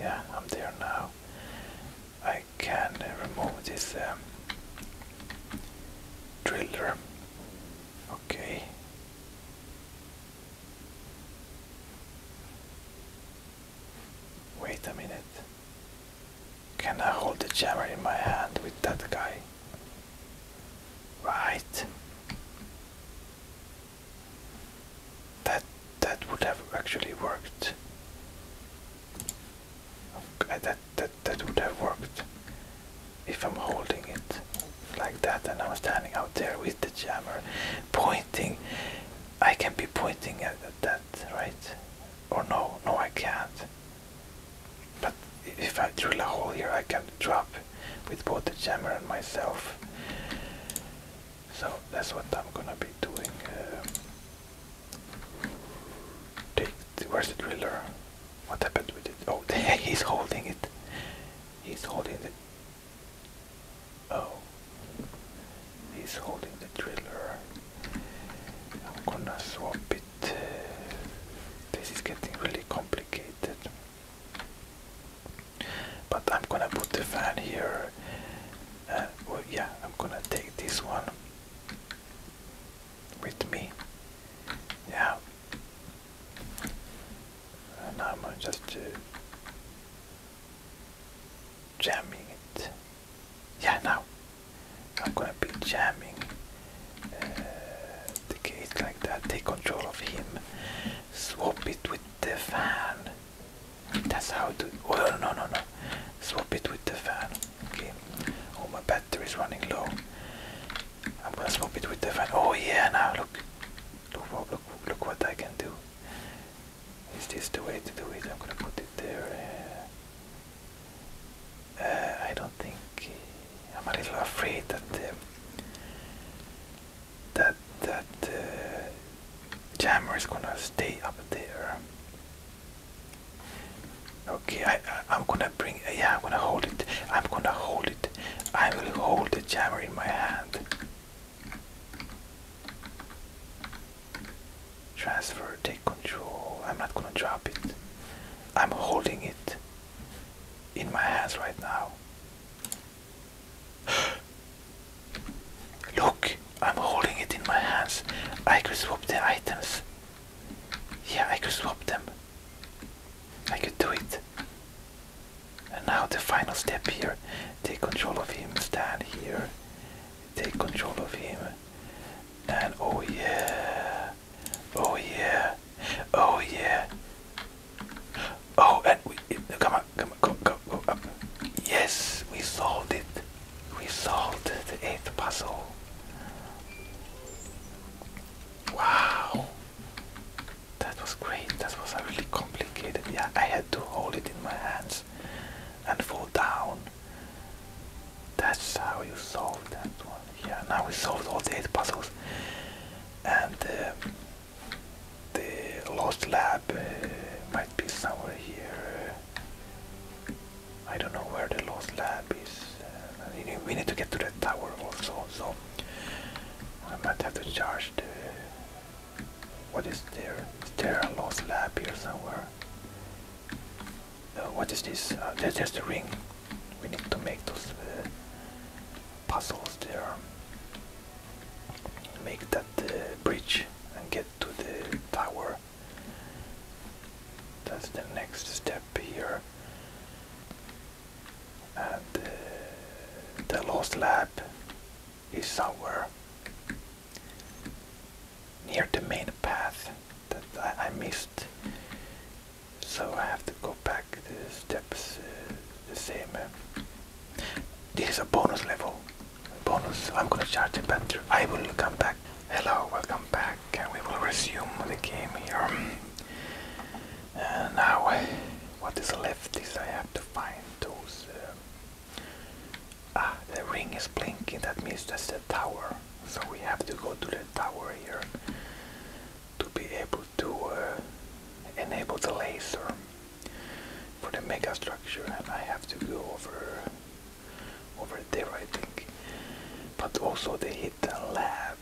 Yeah, I'm there now. I can uh, remove this um, driller. Okay. Wait a minute. Can I hold the jammer in my hand with that guy? Right. That that would have actually worked. Uh, that that that would have worked if I'm holding it like that and I'm standing out there with the jammer pointing I can be pointing at that, right? Or no, no, I can't. But if I drill a hole here, I can drop with both the jammer and myself. So that's what I'm gonna be doing. Um, take the, where's the driller? What happened with it? Oh, he's holding it. He's holding it. Oh, he's holding the driller. I'm gonna swap it. This is getting really complicated. But I'm gonna put the fan here. And uh, yeah, I'm gonna take this one with me. Yeah. And I'm gonna just. Uh, jamming it. Yeah, now I'm gonna be jamming uh, the gate like that. Take control of him. Swap it with the fan. That's how to. Oh no no no no. Swap it with the fan. Okay. Oh my battery is running low. I'm gonna swap it with the fan. Oh yeah, now look. Look, look, look what I can do. Is this the way to do it? I'm gonna put it there. Uh, uh, I don't think uh, I'm a little afraid that um, that that jammer is gonna stay up there. Okay, I, I am gonna bring. yeah, I'm gonna hold it. I'm gonna hold it. I will hold the jammer in my hand. Transfer, take control. I'm not gonna drop it. I'm holding it in my hands right now. Look, I'm holding it in my hands. I could swap the items. Yeah, I could swap them. I could do it. And now the final step here. Take control of him, stand here, take control of him. And oh yeah, oh yeah, oh yeah. Oh, and we come on, come on, come, go, come up. Yes, we solved it. We solved the eighth puzzle. Wow, that was great. That was a really complicated. Yeah, I had to hold it in my hands and fall down. That's how you solve that one. Yeah, now we solved all the eight puzzles. And uh, the lost lab uh, might be somewhere here. Uh, I don't know where the lost lab is. we need to get to the tower also, so I might have to charge the what is there? Is there a lost lab here somewhere? Uh, what is this? That's just a ring. We need to make those uh, puzzles there. Make that uh, bridge and get to the tower. That's the next step here. And the lost lab is somewhere near the main path that I, missed. So I have to go back the steps uh, the same. Uh, this is a bonus level. Bonus. I'm gonna charge the battery. I will come back. Hello, welcome back. and We will resume the game here. Um, and now, what is left is I have to find those uh, Ah, the ring is blinking. That means just the tower. So we have to go to the tower here to be able to uh, enable the laser for the mega structure. And I have to go over over there, I think. But also the hidden lab.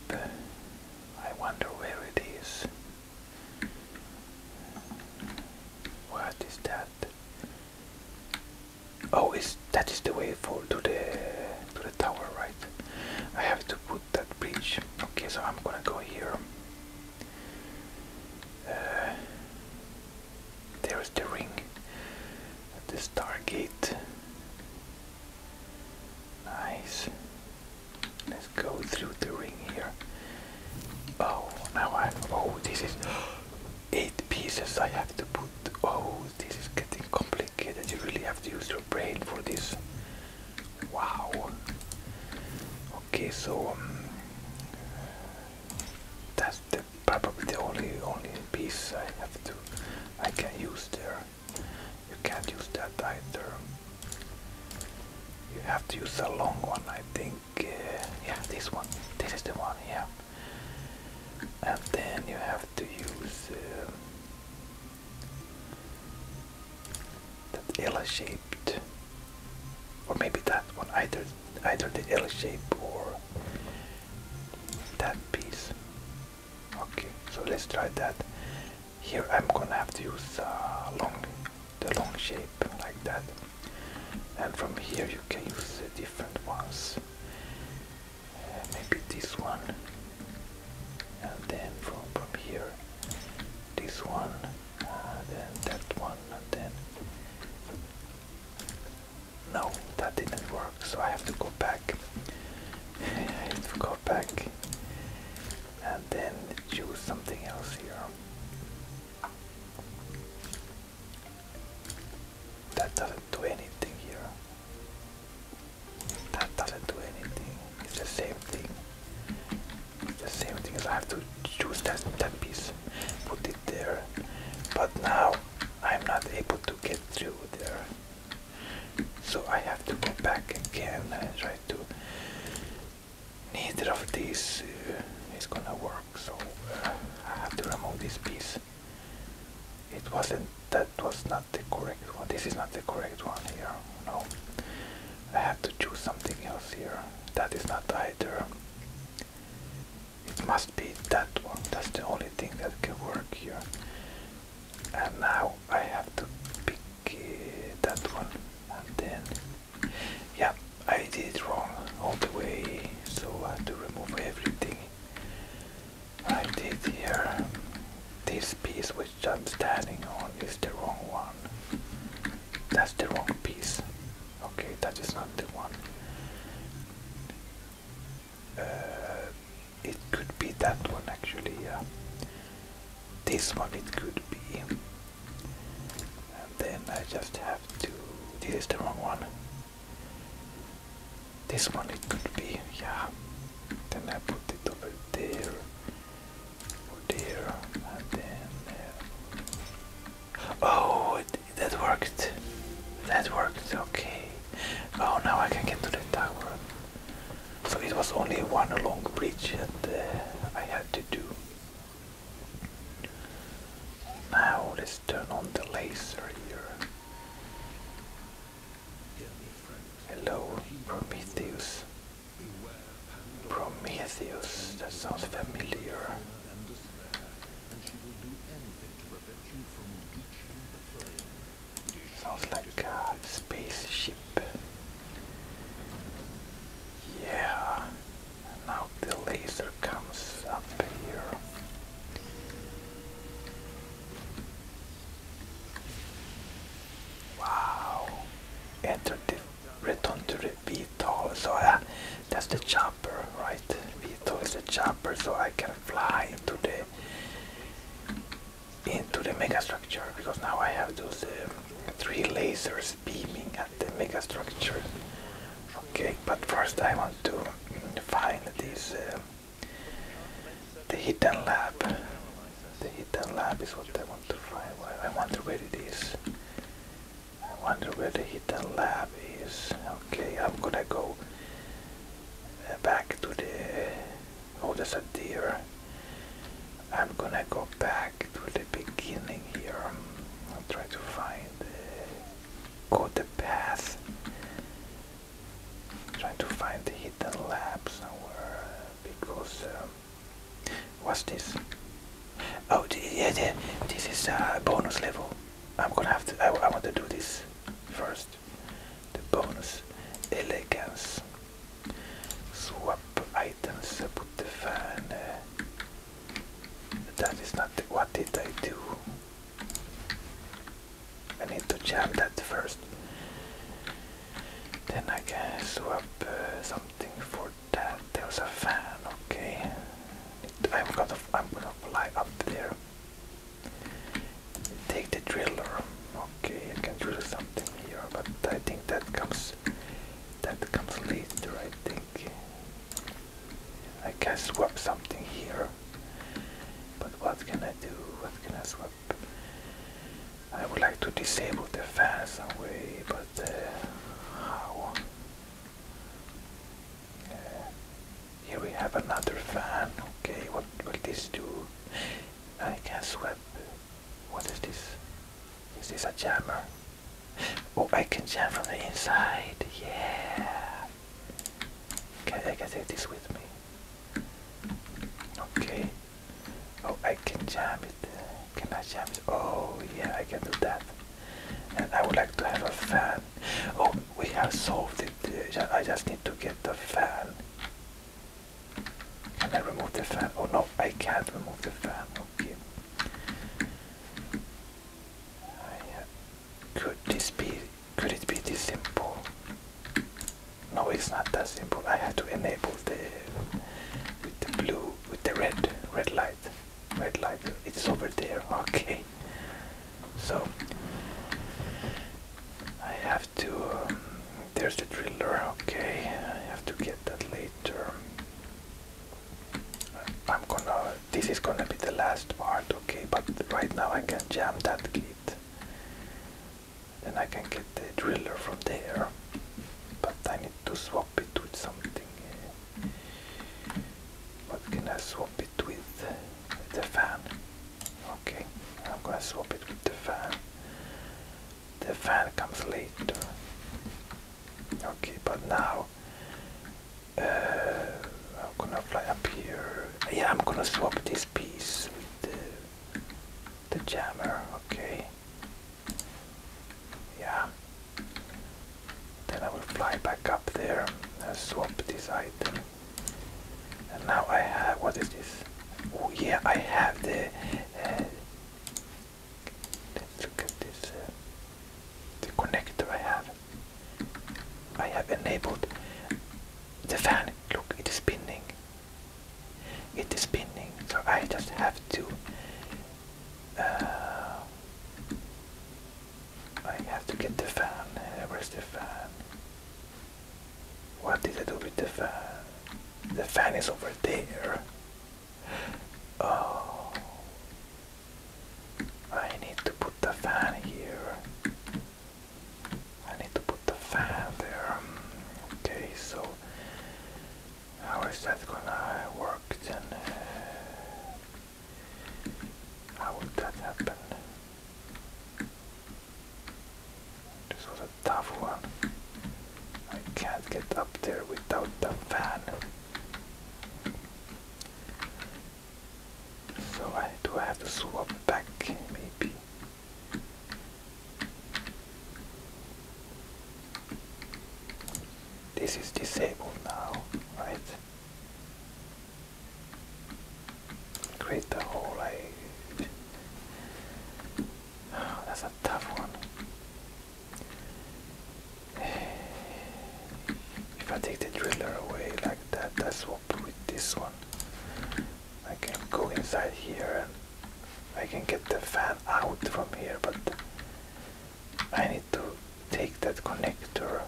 I wonder where it is. What is that? Oh, is that is the way for to the to the tower, right? I have to put that bridge. Okay, so I'm gonna go here. Uh, there is the ring at the Stargate. Nice. Let's go through the ring here. Oh, now I. Oh, this is eight pieces I have to put. Oh, this is getting complicated. You really have to use your brain for this. Wow. Okay, so um, that's probably the only only piece I have to I can not use there. You can't use that either. You have to use the long one, I think. Uh, yeah, this one. This is the one, yeah. And then you have to use uh, that L-shaped, or maybe that one. Either, either the l shaped or that piece. Okay, so let's try that. Here I'm gonna have to use uh, long, the long shape like that and from here you can use the different ones uh, maybe this one and then from, from here this one and uh, then that one and then no that didn't work so I have to go back I have to go back and then choose something else here that doesn't do anything here. That doesn't do anything. It's the same thing. the same thing as I have to choose that, that piece, put it there. But now I'm not able to get through there. So I have to go back again and try to. Neither of these uh, is gonna work so uh, I have to remove this piece. It wasn't, that was not the correct one. This is not the correct one here, no. I have to choose something else here. That is not either. It must be that one. That's the only thing that can work here. And now I have to pick uh, that one. And then, yeah, I did it wrong all the way, so I had to remove everything I did here. This piece which I'm standing on is the wrong one. That's the wrong piece. Okay, that is not the one. Uh, it could be that one actually, This one it could be. And then I just have to. This is the wrong one. This one it could be, yeah. Then I put it over there, over there, and then. Uh, oh, that worked. That worked. Okay. Oh, now I can get to the tower. So it was only one long bridge that uh, I had to do. Now let turn on the laser here. Hello, Prometheus. Prometheus, that sounds familiar. Sounds like a spaceship. Yeah, now the laser comes up here. Wow. Enter the return to the VTOL. So uh, that's the chopper, right? VTOL is the chopper so I can fly into the into the megastructure because now I have those um, three lasers beaming at the megastructure Okay, but first I want to find this uh, the hidden lab. The hidden lab is what I want to find. I wonder where it is. I wonder where the hidden lab is. Okay, I'm gonna go uh, back to the. Oh, there's a deer. I'm gonna go back to the beginning here. I'll try to find. Uh, go the path. Trying to find the hidden lab somewhere because um, what's this? Oh yeah, yeah, this is a bonus level. I'm gonna have to. I, want to do this first. The bonus elegance. Swap items. Put the fan. Uh, that is not. What did I do? I need to jam that first. Then I can swap uh, something for that. There's a fan, okay. I'm gonna I'm gonna fly up there. Take the driller. Okay, I can drill something here, but I think that comes that comes later I think. I can swap something here. But what can I do? What can I swap? I would like to disable the fan some way, but uh, how? Uh, here we have another fan. Okay, what will this do? I can swap. What is this? Is this a jammer? Oh, I can jam from the inside. Yeah. Okay, I can do this with me. Okay. Oh, I can jam it. Can I jam it? Oh, yeah, I can do that. And I would like to have a fan. Oh, we have solved it. Uh, I just need to get the fan. Can I remove the fan? Oh no, I can't remove the fan. Okay. I, could this be could it be this simple? No, it's not that simple. I have to enable the with the blue with the red red light. Red light. It's over there. Okay. So I have to um, there's the driller. Okay. I have to get that later. I'm gonna this is gonna be the last part, okay? But right now I can jam that gate. Then I can get the driller from there. But I need to swap it with something. Eh? What can I swap it with? The fan. Okay, I'm gonna swap it with the fan. The fan comes later. Okay, but now uh, I'm gonna fly up here. Yeah, I'm gonna swap this piece with the, the jammer. Okay. Yeah. Then I will fly back up there and swap this item. And now I have what is this? Oh yeah, I have the. Uh, let's look at this. Uh, the connector I have. I have enabled the fan. Look, it is spinning. It is spinning, so I just have to. Uh, I have to get the fan. Uh, where's the fan? What did I do with the fan? The fan is over there. Oh, I need to put the fan here. I need to put the fan there. Um, okay, so how is that gonna work then? Uh, how would that happen? This was a tough one. I can't get up there without the fan. So I do I have to swap back maybe. This is disabled now, right? Create the hole I oh, that's a tough one. If I take the driller away like that, that's with this one. I can go inside here and I can get the fan out from here, but I need to take that connector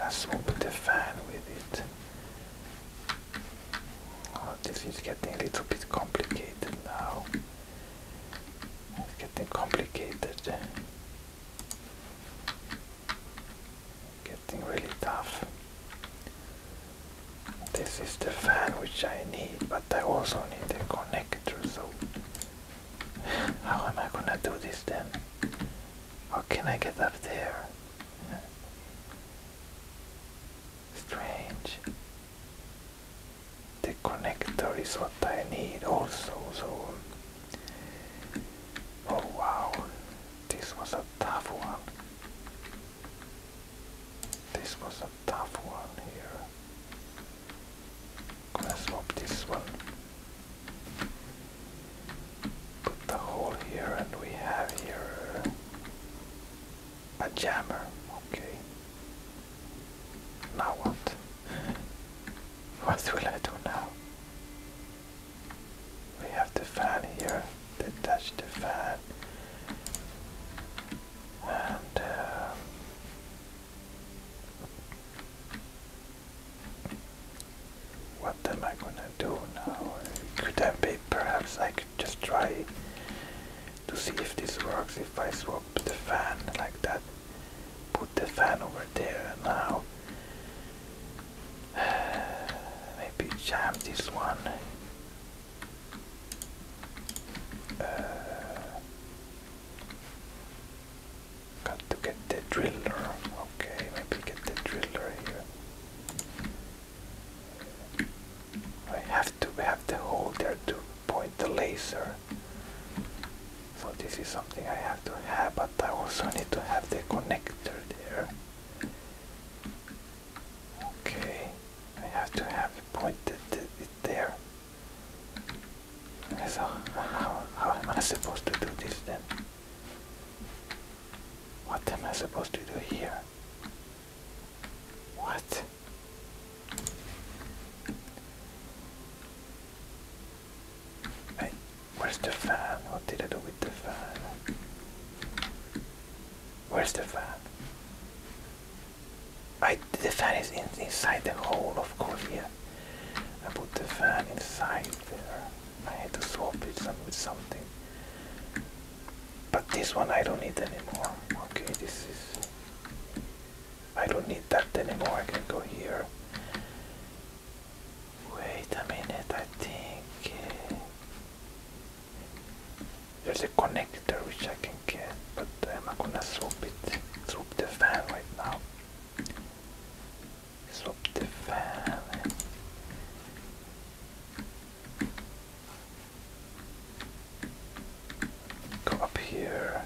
and swap the fan with it. Oh, this is getting a little bit complicated now. It's getting complicated. Getting really tough. This is the fan which I need, but I also need the connector, so how am I gonna do this then? How can I get up there? Strange. The connector is what I need also, so... Oh wow, this was a tough one. This was a tough one here. Let's swap this one. Put the hole here and we have here a jammer. Okay. Now what? what will I do now? We have the fan here, touch the fan, and uh, what am I gonna do now? Could I be perhaps I could just try to see if this works if I swap the fan like that, put the fan over there now. Maybe jam this one. Uh, got to get the driller. Okay, maybe get the driller here. I have to have the hole there to point the laser. So this is something I have to have, but I also need to have the connector there. Okay, I have to have pointed it there. So, how, how am I supposed to do this then? What am I supposed to do here? What? Hey, where's the fan? What did I do with the fan? Where's the fan? I, the fan is in, inside the hole, of course, yeah. I put the fan inside there. I had to swap it some, with something. But this one I don't need anymore. Okay, this is... I don't need that anymore. I can go here. Wait a minute, I think uh, there's a connector which I can get, but I'm not gonna swap it, swap the fan right now. Swap the fan. Go up here.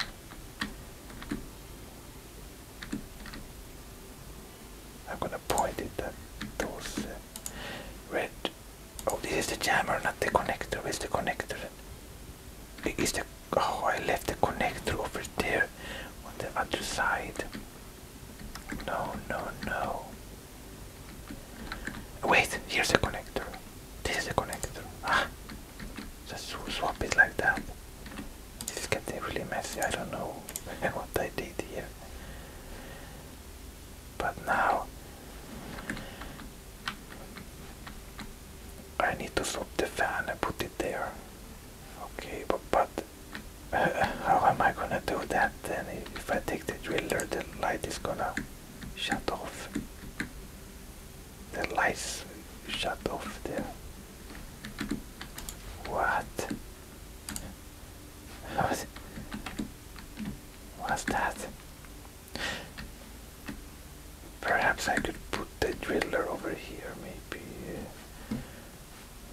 I'm gonna point it at those uh, red. Oh, this is the jammer, not the connector. Where's the connector? Is the oh I left the connector over there on the other side. No, no, no. Wait, here's the connector. This is the connector. Ah, just swap it like that. This is getting really messy. I don't know what I did here. But now I need to stop the fan and put it there. Okay, but, but how am I gonna do that then? If I take the drill, the light is gonna shut off. The lights shut off there. What? What? What's that? Perhaps I could put the driller over here, maybe.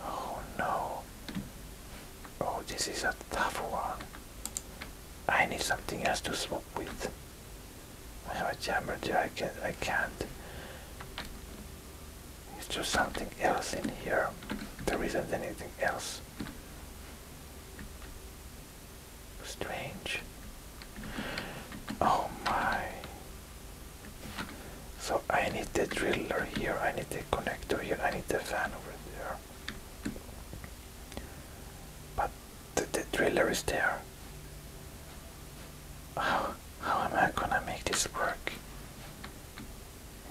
Oh no. Oh, this is a tough one. I need something else to swap with. I have a jammer jacket, I can't. It's just something else in here. There isn't anything else. Strange. Oh my. So I need the drill here, I need the connector here, I need the fan over there. But the, the driller is there. how am I gonna make this work?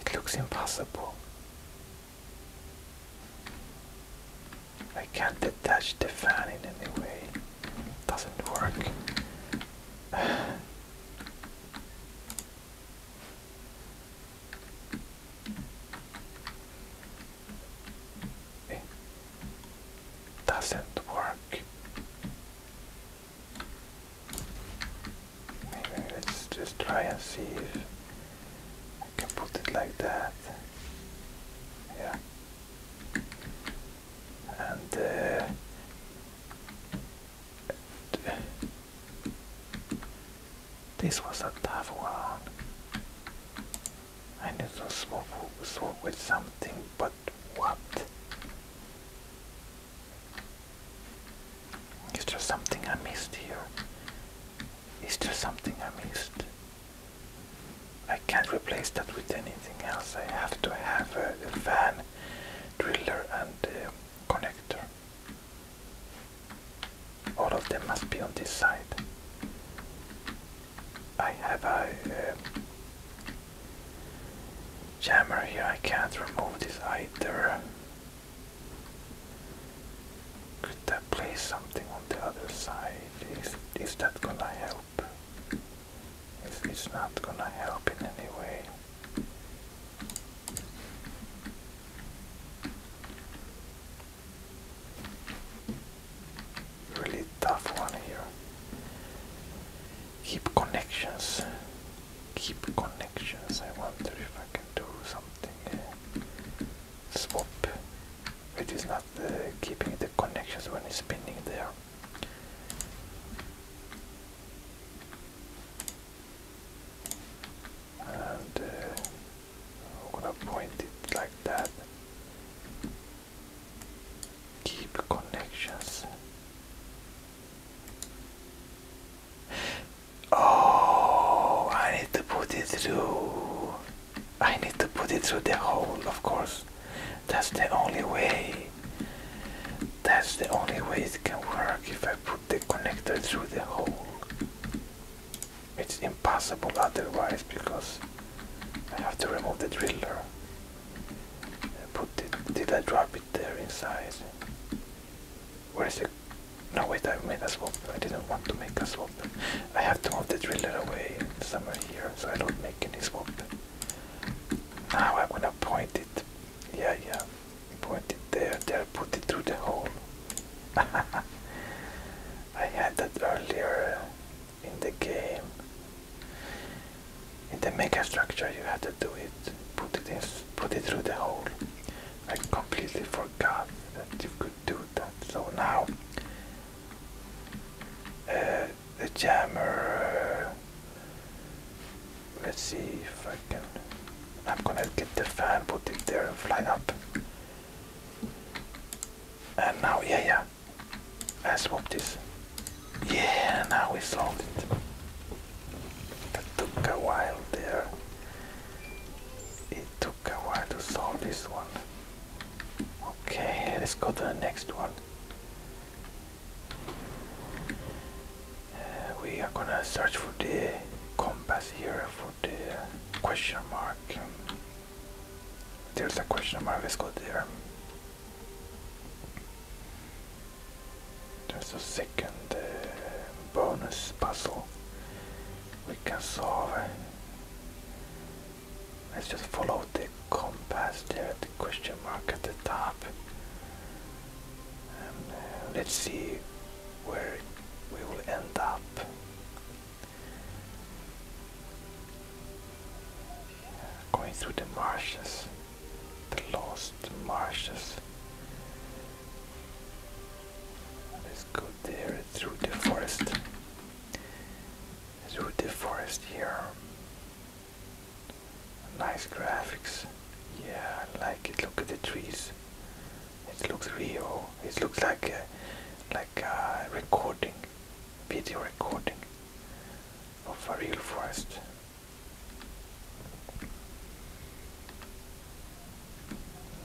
It looks impossible. I can't detach the fan in any way. It doesn't work. It doesn't work. Maybe let's just try and see if I can put it like that. Yeah. And uh, this was a tough one. I need to small, swap with something, but what? Is there something I missed here? Is there something I missed? I can't replace that with anything else. I have to have a, a fan, driller, and connector. All of them must be on this side. I have a jammer here. I can't remove this either. Could that place something on the other side? Is, is that gonna help? If it's not gonna help in any way. Really tough one here. Keep connections keep connections. I wonder if I can do something. Eh, swap. It is not uh, keeping the connections when it's spinning there. And uh, to point it like that. Keep connections. Oh, I need to put it through. I need to put it through the hole, of course. That's the only way. That's the only way it can work if I put the connector through the hole. It's impossible otherwise because I have to remove the driller. Put it, did I drop it there inside? Where is it? No, wait, I made a swap. I didn't want to make a swap. I have to move the driller away somewhere here so I don't make any swap. Now I'm gonna point it. Yeah, yeah. Point it there, there, put it through the hole. I had that earlier in the game. In the mega structure, you have to do it. Put it in, put it through the hole. I completely forgot that you could do that. So now uh, the jammer. Uh, let's see if I can. I'm gonna get the fan, put it there, and fly up. And now, yeah, yeah. I swapped this. Yeah, now we solved it. That took a while there. It took a while to solve this one. Okay, let's go to the next one. Uh, we are gonna search for the compass here for the question mark. There's a question mark, let's go there. There's a second uh, bonus puzzle we can solve. Let's just follow the compass there at the question mark at the top. Uh, let's see where we will end up. Going through the marshes, the lost marshes. Let's go there through the forest. Through the forest here. Nice graphics. Yeah, I like it. Look at the trees. It looks real. It looks like a, like a recording, video recording of a real forest.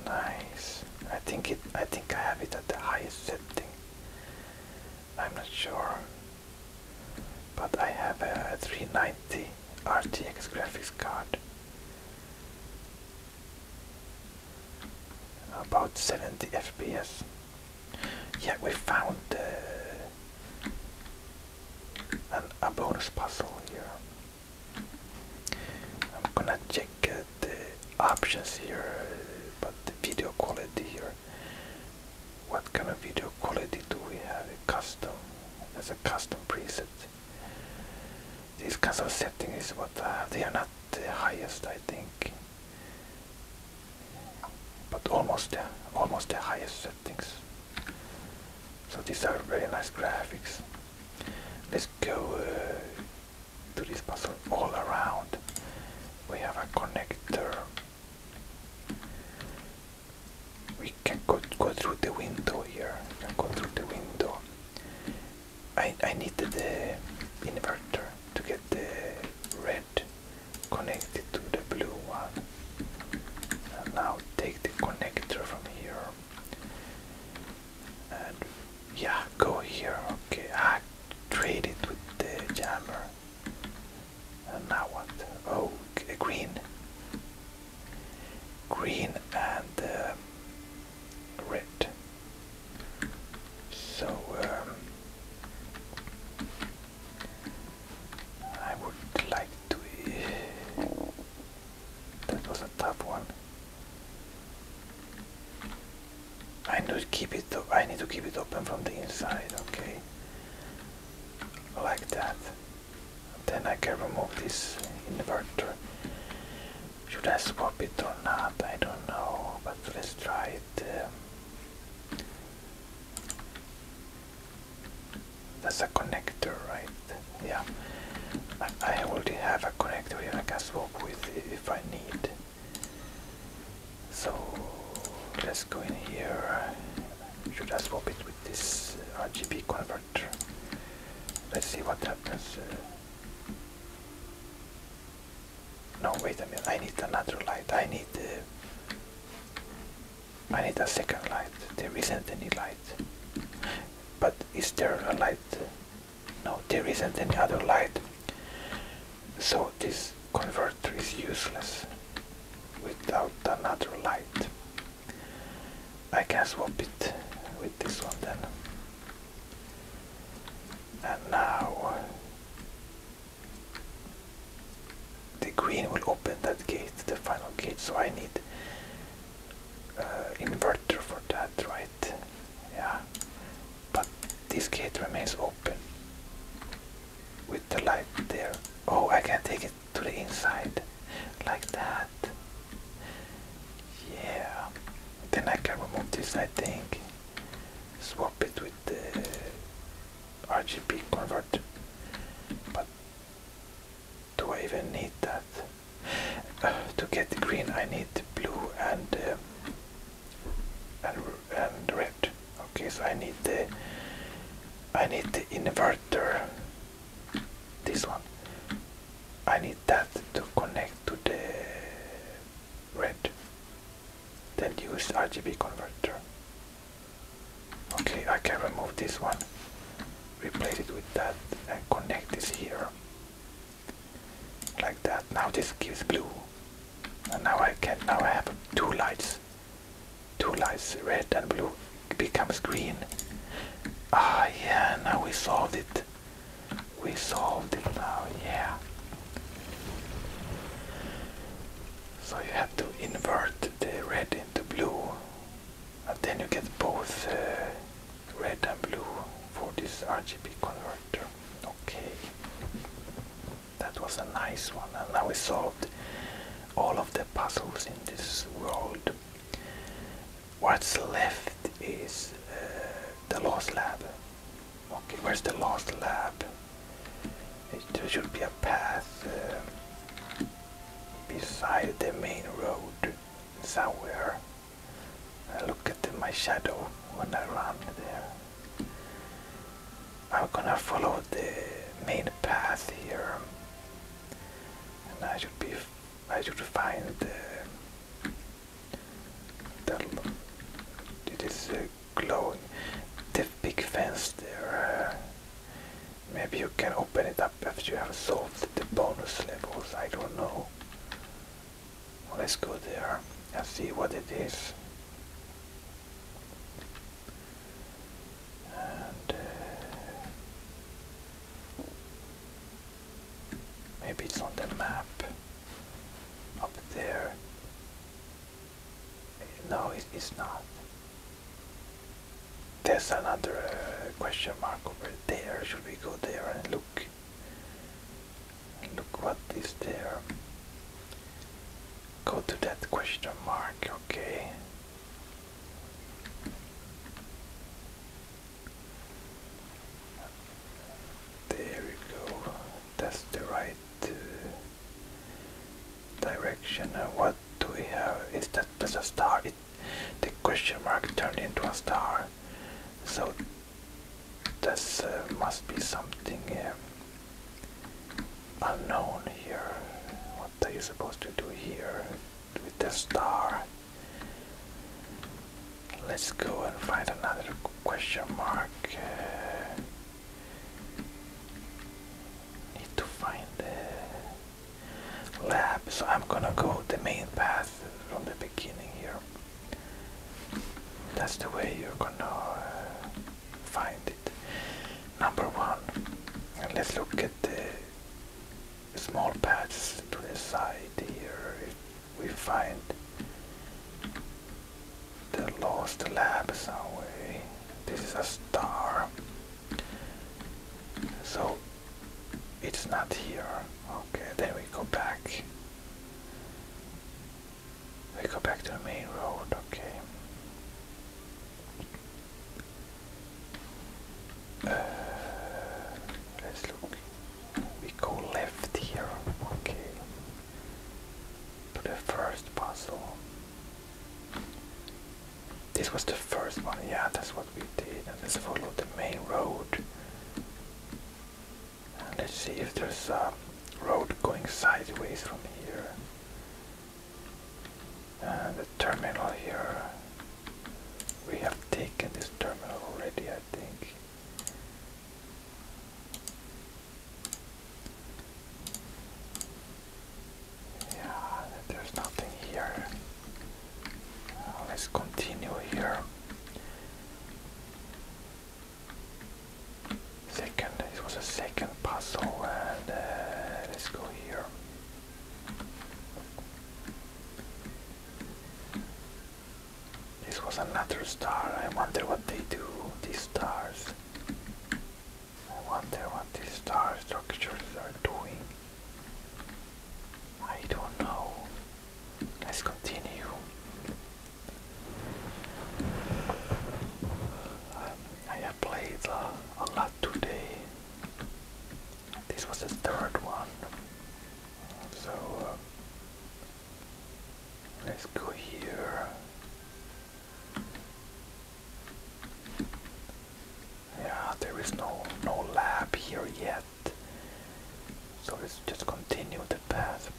Nice. I think it I think I have it at the highest setting. I'm not sure. But I have a 390 RTX graphics card. About 70 FPS. Yeah, we found uh, a bonus puzzle here. I'm gonna check uh, the options here, but the video quality here. What kind of video quality do we have? A custom, as a custom preset. These kinds of settings is what uh, They are not the highest, I think, but almost the uh, almost the highest settings. So these are very nice graphics. Let's go uh, to this puzzle all around. We have a connector. We can go, go through the window here. can go through the window. I, I needed the inverter to get the red connected to the blue one. And now take the connector from here yeah, go here. Okay, I trade it with the jammer. And now what? Oh, a green. Green and uh, red. So um, I would like to. Uh, that was a tough one. I need to keep it. I need to keep it open from the inside. Okay, like that. Then I can remove this inverter. Should I swap it or not? I don't know, but let's try it. Um, that's a connector, right? Yeah. I, already have a connector here I can swap with if I need. So let's go in here. Should I swap it with this uh, RGB converter? Let's see what happens. Uh, no, wait a minute. I need another light. I need. Uh, I need a second light. There isn't any light but is there a light? No, there isn't any other light. So this converter is useless without another light. I can swap it with this one then. And now the green will open that gate, the final gate, so I need uh, inverter for that, right? Yeah. But this gate remains open with the light there. Oh, I can take it to the inside like that. Yeah. Then I can remove this, I think. Swap it with the RGB converter. But do I even need that? to get the green I need blue uh, and and red. Okay, so I need the I need the inverter. This one. I need that to connect to the red. Then use RGB converter. Okay, I can remove this one, replace it with that, and connect this here like that now this gives blue and now I can now I have two lights two lights red and blue becomes green ah yeah now we solved it we solved it now yeah so you have to invert the red into blue and then you get both uh, red and blue for this RGB converter. Okay, that was a nice one, and now we solved all of the puzzles in this world. What's left is uh, the lost lab. Okay, where's the lost lab? It, there should be a path uh, beside the main road somewhere. I look at my shadow when I run there. I'm gonna follow the main path here, and I should be I should find the, the it is uh, glowing the big fence there. maybe you can open it up up you have solved the bonus levels. I don't know. let's go there and see what it is. Uh, maybe it's on the map up there. No, it's not. There's another uh, question mark over there. Should we go there and look look what is there go to that question mark okay there we go that's the right uh, direction what do we have is that there's a star the question mark turned into a star. So this uh, must be something uh, unknown here. What are you supposed to do here with the star? Let's go and find another question mark. Uh, need to find the lab, so I'm gonna go the main path from the beginning here. That's the way you're gonna uh, find it. Number one, and let's look at the small patches to the side here. We find the lost lab away. This is a star. So it's not here. Okay, then we go back. We go back to the main road, okay. Uh, let's look. We go left here, okay. To the first puzzle. This was the first one, yeah, that's what we did. And let's follow the main road let's see if there's a road going sideways from here. And uh, the terminal here. We have taken this terminal already, I think. Yeah, there's nothing here. Let's continue here. Second, this was a second puzzle, and uh, let's go here. This was another star. I wonder what they do, these stars. I wonder what these star structures are doing. I don't know. Let's continue. I have played uh, a lot today. This was the third one. So uh, let's go here. Yeah, there is no no lab here yet. So let's just continue the path.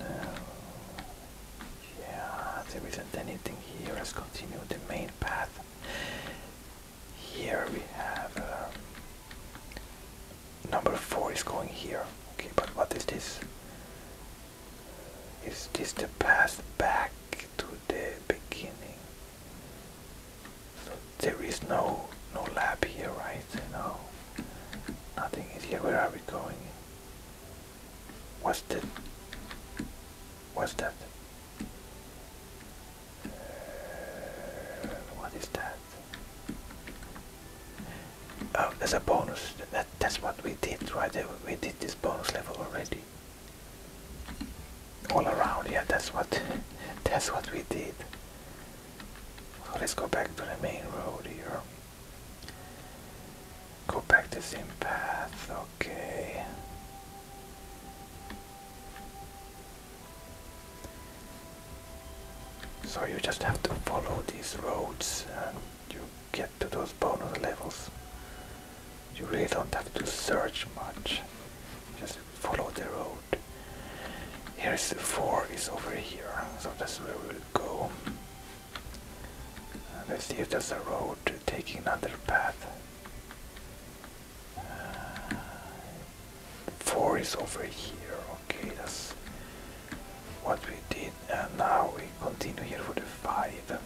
Uh, yeah, there isn't anything here. Let's continue the main path. Here we have um, number four is going here. Okay, but what is this? Is this the path back to the beginning? So there is no no lab here, right? No, nothing is here. Where are we going? What's that? What's that? Uh, what is that? Oh, there's a bonus. That, that's what we did, right? We did this bonus level already all around yeah that's what that's what we did so let's go back to the main road here go back the same path okay so you just have to follow these roads and you get to those bonus levels you really don't have to search much just follow the road here's the four is over here so that's where we'll go uh, let's see if there's a road taking another path uh, four is over here okay that's what we did and now we continue here for the five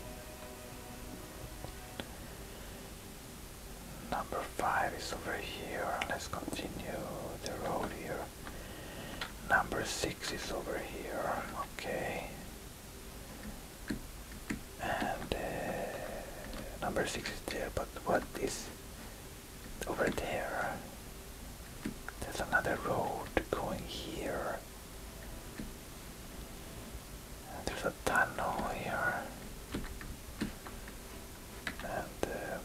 Number 5 is over here. Let's continue the road here. Number 6 is over here. Okay. And uh, number 6 is there, but what is over there? There's another road going here. There's a tunnel here. And um,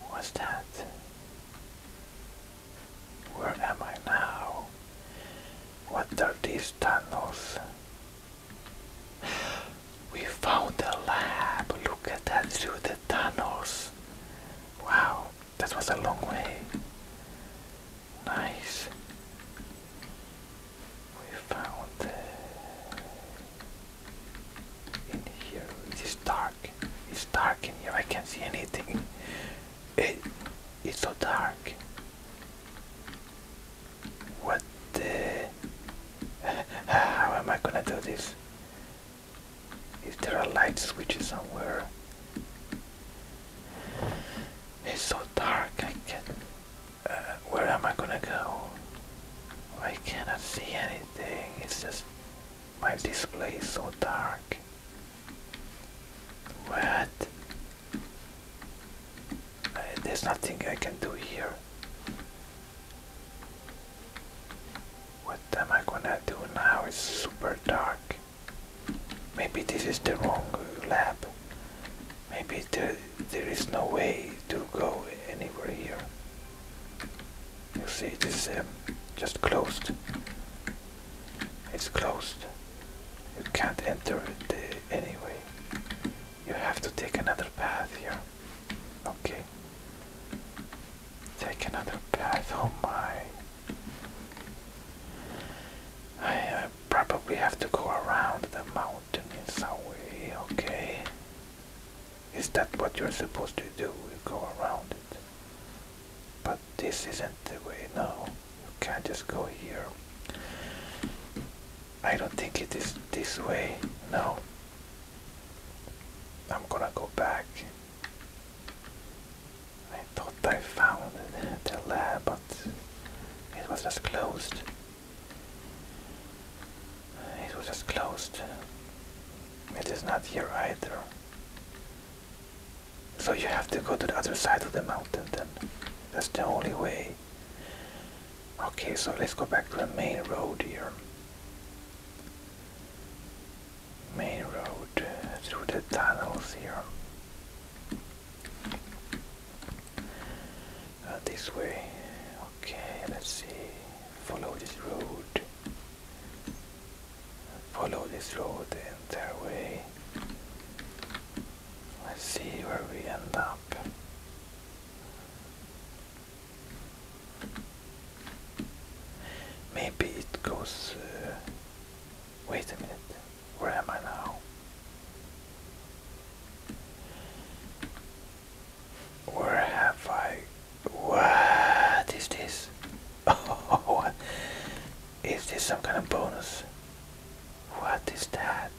what's that? Where am I now? What are these tunnels? We found a lab. Look at that through the tunnels. Wow, that was a long way. Nice. We found in here. It is dark. It's dark in here. I can't see anything. It, it's so dark. What How am I gonna do this? Is there a light switch somewhere? It's so dark. I can't. Uh, where am I gonna go? I cannot see anything, it's just my display is so dark. What? Uh, there's nothing I can do here. What am I gonna do now? It's super dark. Maybe this is the wrong lab. Maybe there, there is no way to go anywhere here. You see, it is um, just closed. It's closed. You can't enter it uh, anyway. You have to take another path here. Okay. Take another path. Oh my. I probably have to go around the mountain mountain in some way, okay. Is that what you're supposed to do? You go around it. But this isn't the way, no. You can't just go here. I don't think it is this way, no. I'm gonna go back. I thought I found the lab, but it was just closed. It was just closed. It is not here either. So you have to go to the other side of the mountain then. That's the only way. Okay, so let's go back to the main road here. Main road through the tunnels here. Uh, this way. Okay, let's see. Follow this road. Follow this road the entire way. Let's see where we end up. Maybe it goes. Uh, wait a minute. Where am I now? Or have I? What is this? is this some kind of bonus? What is that?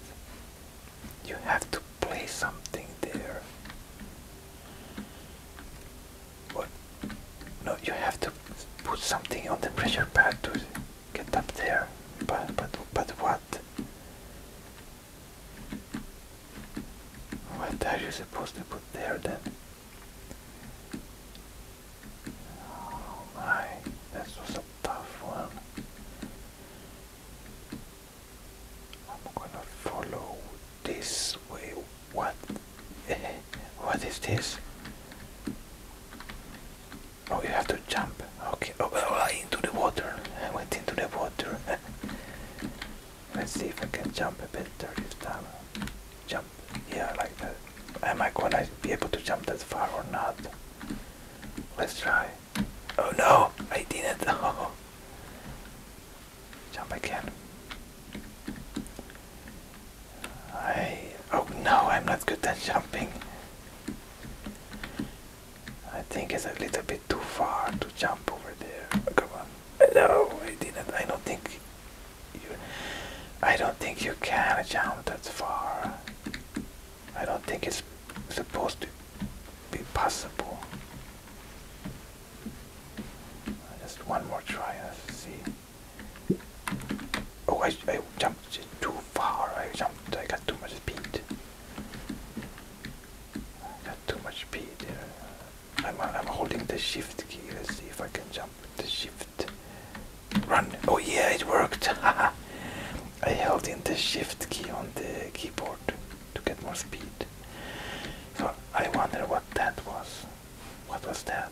You have to play something there. What? No, you have to put something on the pressure pad to get up there. But but but why? What? are you supposed to put there then? Oh my, this was a tough one. I'm gonna follow this way. What? what is this? Oh, you have to jump. Okay. Oh, into the water. I went into the water. Let's see if I can jump a bit this time. Jump. Yeah, like that. Am I gonna be able to jump that far or not? Let's try. Oh no, I didn't. Oh. Jump again. I. Oh no, I'm not good at jumping. I think it's a little bit too far to jump over there. Come on. No, I didn't. I don't think you. I don't think you can jump that far. I don't think it's supposed to be possible. Just one more try. Let's see. Oh, I, I jumped too far. I jumped. I got too much speed. Got too much P I'm, uh, I'm holding the shift key. Let's see if I can jump with the shift. Run. Oh yeah, it worked. I held in the shift key on the keyboard to get more speed. So I wonder what that was. What was that?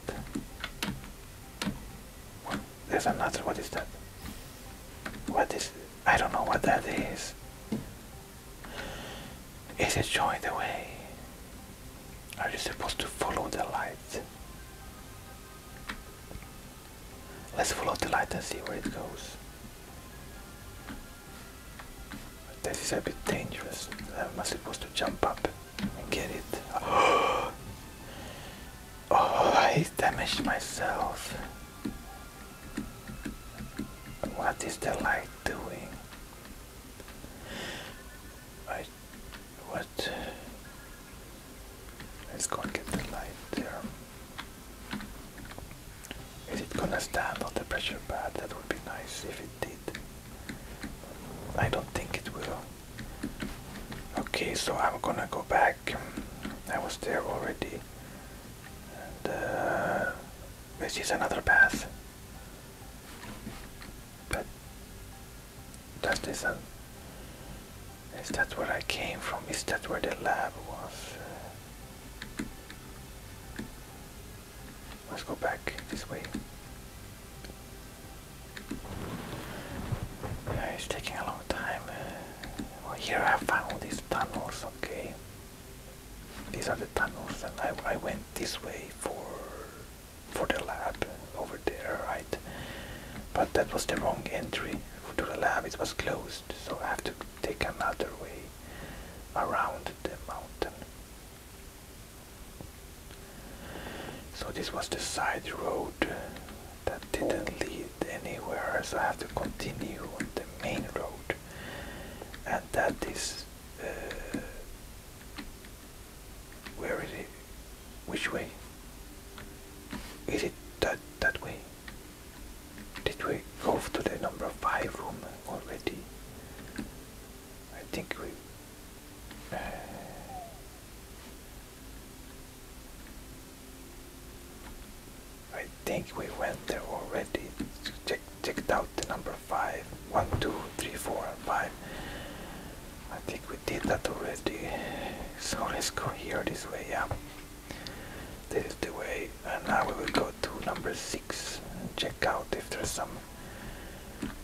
There's another. What is that? What is I don't know what that is. Is it showing the way? Are you supposed to follow the light? Let's follow the light and see where it goes. This is a bit dangerous. Am I supposed to jump up and get it? Oh, I damaged myself. What is the light doing? I what? Let's go and get the light there. Is it gonna stand on the pressure pad? That would be nice if it did. I don't think it will. Okay, so I'm gonna go back. I was there already. And, uh, is another path. But that is Is that where I came from? Is that where the lab was? Uh, let's go back this way. it's taking a long time. Uh, well, here I found these tunnels, okay. These are the tunnels, and I, I went this way for for the lab over there, right? But that was the wrong entry to the lab. It was closed, so I have to take another way around the mountain. So this was the side road that didn't lead anywhere, so I have to continue on the main road, and that is uh, where is it? Which way? Is it that that way? Did we go to the number five room already? I think we. Uh, I think we went there already. Check, checked out the number 5. 1, 2, 3, 4, and 5. I think we did that already. So let's go here this way, yeah. This is the way. And now we will go to number 6 and check out if there's some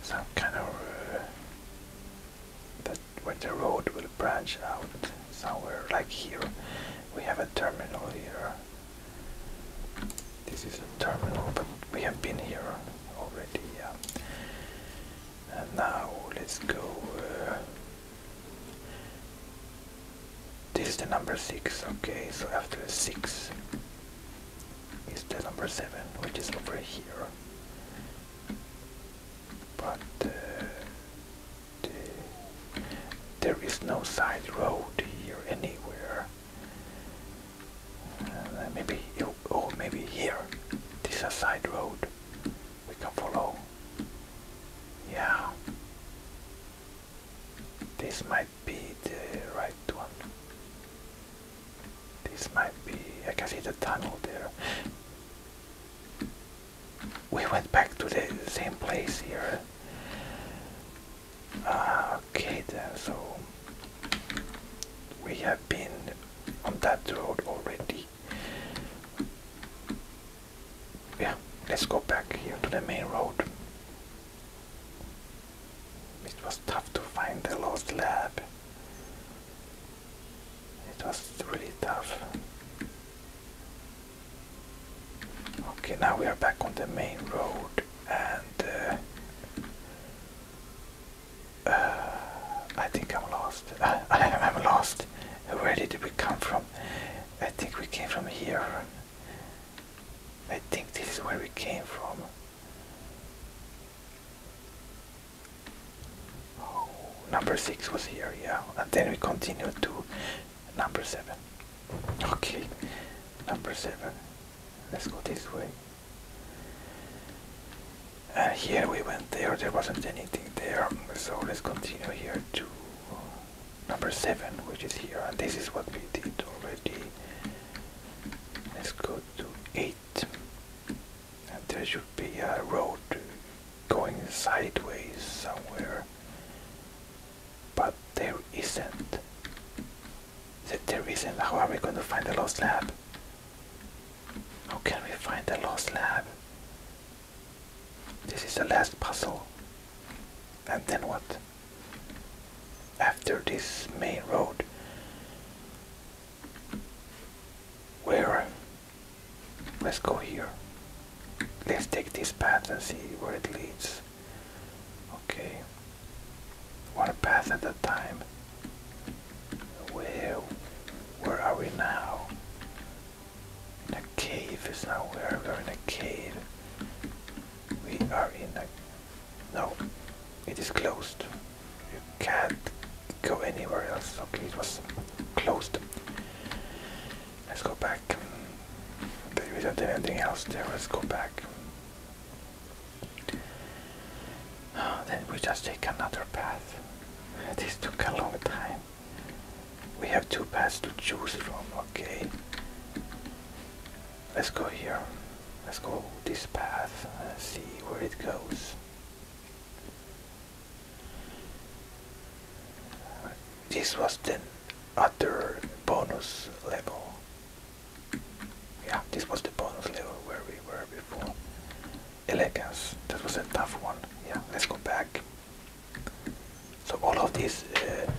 some kind of uh, where the road will branch out somewhere like here we have a terminal here this is a terminal but we have been here already yeah and now let's go uh, this is the number six okay so after six is the number seven which is over here but uh, there is no side road here anywhere. Uh, maybe oh, maybe here. This is a side road we can follow. Yeah, this might be the right one. This might be. I can see the tunnel there we went back to the same place here. Ah, okay then, so we have been on that road already. Yeah, let's go back here to the main road. It was tough to find the lost lab. It was really tough. Okay, now we are back on the main road, and uh, uh, I think I'm lost. I, think I'm lost. Where did we come from? I think we came from here. I think this is where we came from. Oh, number six was here, yeah. And then we continued to number seven. Okay, number seven. Let's go this way. Uh, here we went there, there wasn't anything there, so let's continue here to number 7, which is here, and this is what we did already. Let's go to 8, and there should be a road going sideways somewhere. But there isn't. There isn't. How are we going to find the lost lab? How can we find the lost lab? This is the last puzzle. And then what? After this main road, where? Let's go here let's take this path and see where it leads. Okay. One path at a time. Where where are we now? In a cave is now where we are in a cave. We are in a no. It is closed. You can't go anywhere else. Okay, it was closed. Let's go back. We do anything else there. Let's go back. Oh, then we just take another path. This took a long time. We have two paths to choose from. Okay. Let's go here. Let's go this path see where it goes. This was the other bonus level. Yeah, this was the bonus level where we were before. Elegance, that was a tough one. Yeah, let's go back. So all of these uh,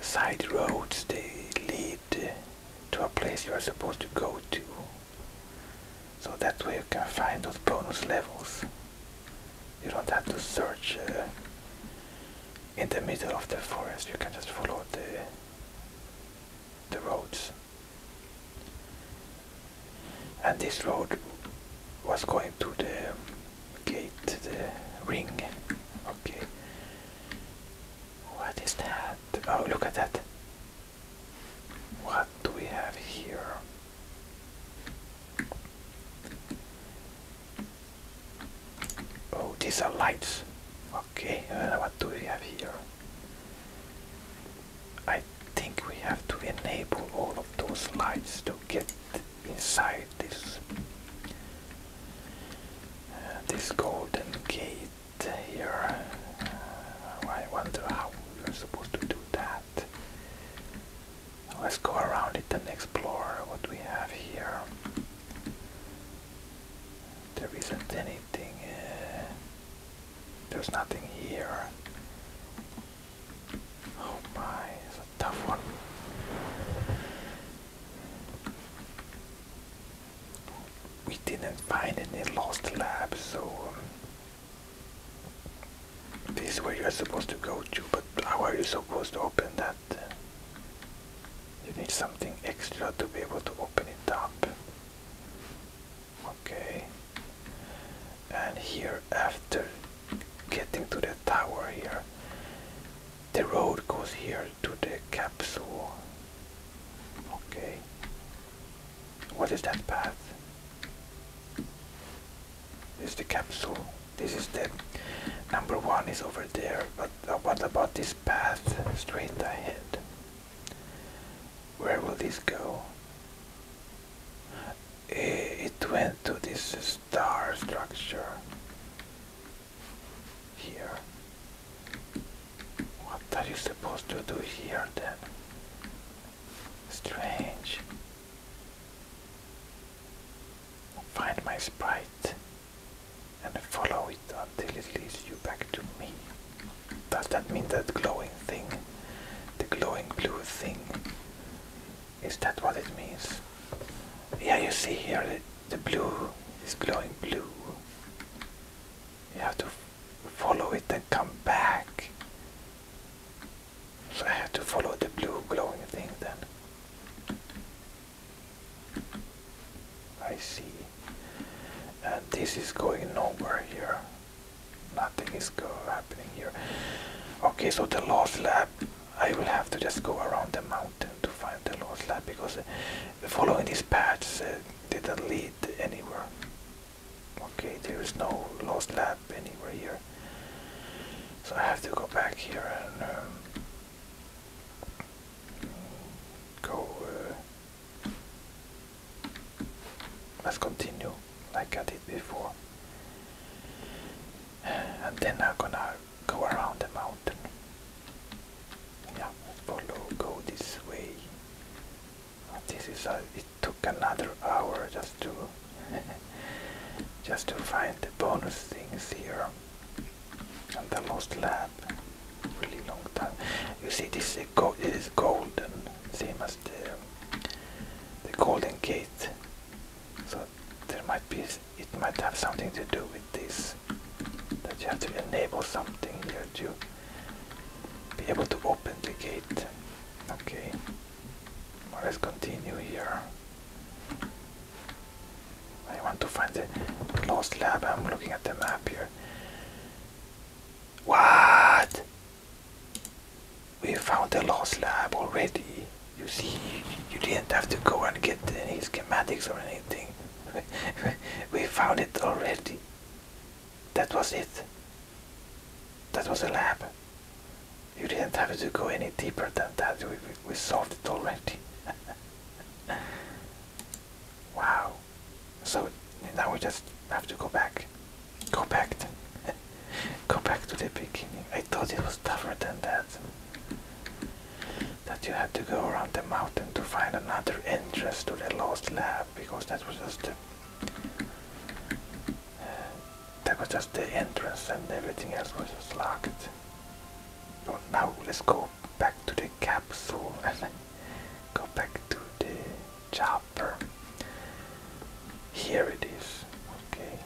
side roads, they lead to a place you are supposed to go to. So that way you can find those bonus levels. You don't have to search uh, in the middle of the forest. You can just follow the the roads. And this road was going to the gate, the ring. Okay. What is that? Oh, look at that. What do we have here? Oh, these are lights. Okay, what do we have here? I think we have to enable all of those lights to get inside this uh, this golden gate here. Uh, I wonder how we're supposed to do that. Let's go around it and explore what we have here. There isn't anything. Eh, there's nothing here. Oh my, it's a tough one. We didn't find any lost labs, so um, this is where you're supposed to go to. But how are you supposed to open that? you need something extra to be able to open it up. Okay. And here, after getting to the tower here, the road goes here to the capsule. Okay. What is that path? Is the capsule? this is the number one is over there but what about this path straight ahead where will this go it went to this star structure here what are you supposed to do here then strange find my sprite and follow it until it leads you back to me. Does that mean that glowing thing, the glowing blue thing, is that what it means? Yeah, you see here the, the blue is glowing blue. You have to follow it and come back. So I have to follow the blue glowing thing then. I see. And this is going nowhere here. Nothing is go happening here. Okay, so the lost lab, I will have to just go around the mountain to find the lost lab because uh, following these paths uh, didn't lead anywhere. Okay, there is no lost lab anywhere here. So I have to go back here and um, go uh, let's continue like I did before and then I'm gonna go around the mountain yeah follow go this way this is a, it took another hour just to just to find the bonus things here the lost lab really long time you see this is gold it is golden same as the the golden gate so there might be it might have something to do with this that you have to enable something here to be able to open the gate okay let's continue here I want to find the lost lab. I'm looking at the map here. What? We found the lost lab already. You see, you didn't have to go and get any schematics or anything. we found it already. That was it. That was the lab. You didn't have to go any deeper than that. we solved it already. Wow. So now we just have to go back. Go back to go back to the beginning. I thought it was tougher than that. That you had to go around the mountain to find another entrance to the lost lab because that was just that was just the entrance and everything else was just locked. But now let's go back to the capsule and go back to the chopper. Here it is. Okay.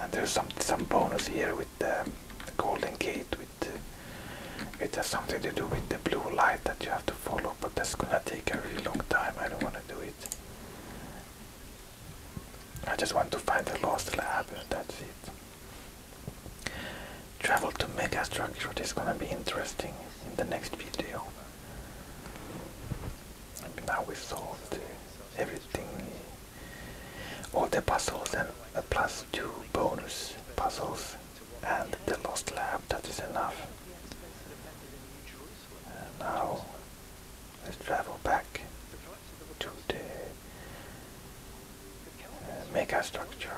And there's some some bonus here with the golden gate with it has something to do with the blue light that you have to follow, but that's gonna take a really long time. I don't wanna do it. I just want to find the lost lab, that's it. Travel to megastructure is gonna be interesting in the next video. now we solved everything, all the puzzles and uh, plus two bonus puzzles and the lost lab, that is enough. And now let's travel back to the structure.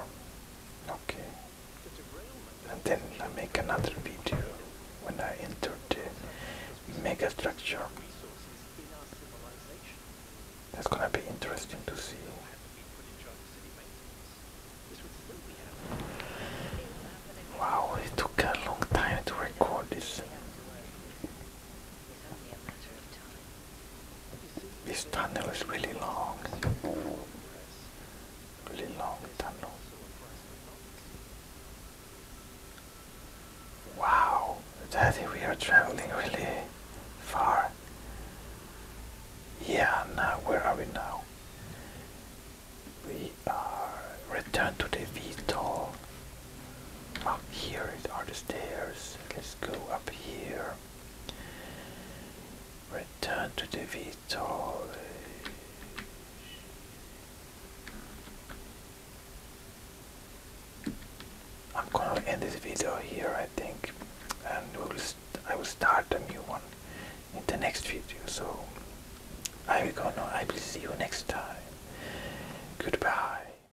Okay. And then I make another video when I enter the mega structure. That's gonna be interesting to see. Wow, it took a long time to record this. This tunnel is really long. Really long tunnel. Wow, Daddy, we are traveling really far. Yeah, now where are we now? We are returned to the VTOL up here it are the stairs. Let's go up here. Return to the Vitor. I'm gonna end this video here, I think, and we'll I will start a new one in the next video. So I will go now. I will see you next time. Goodbye.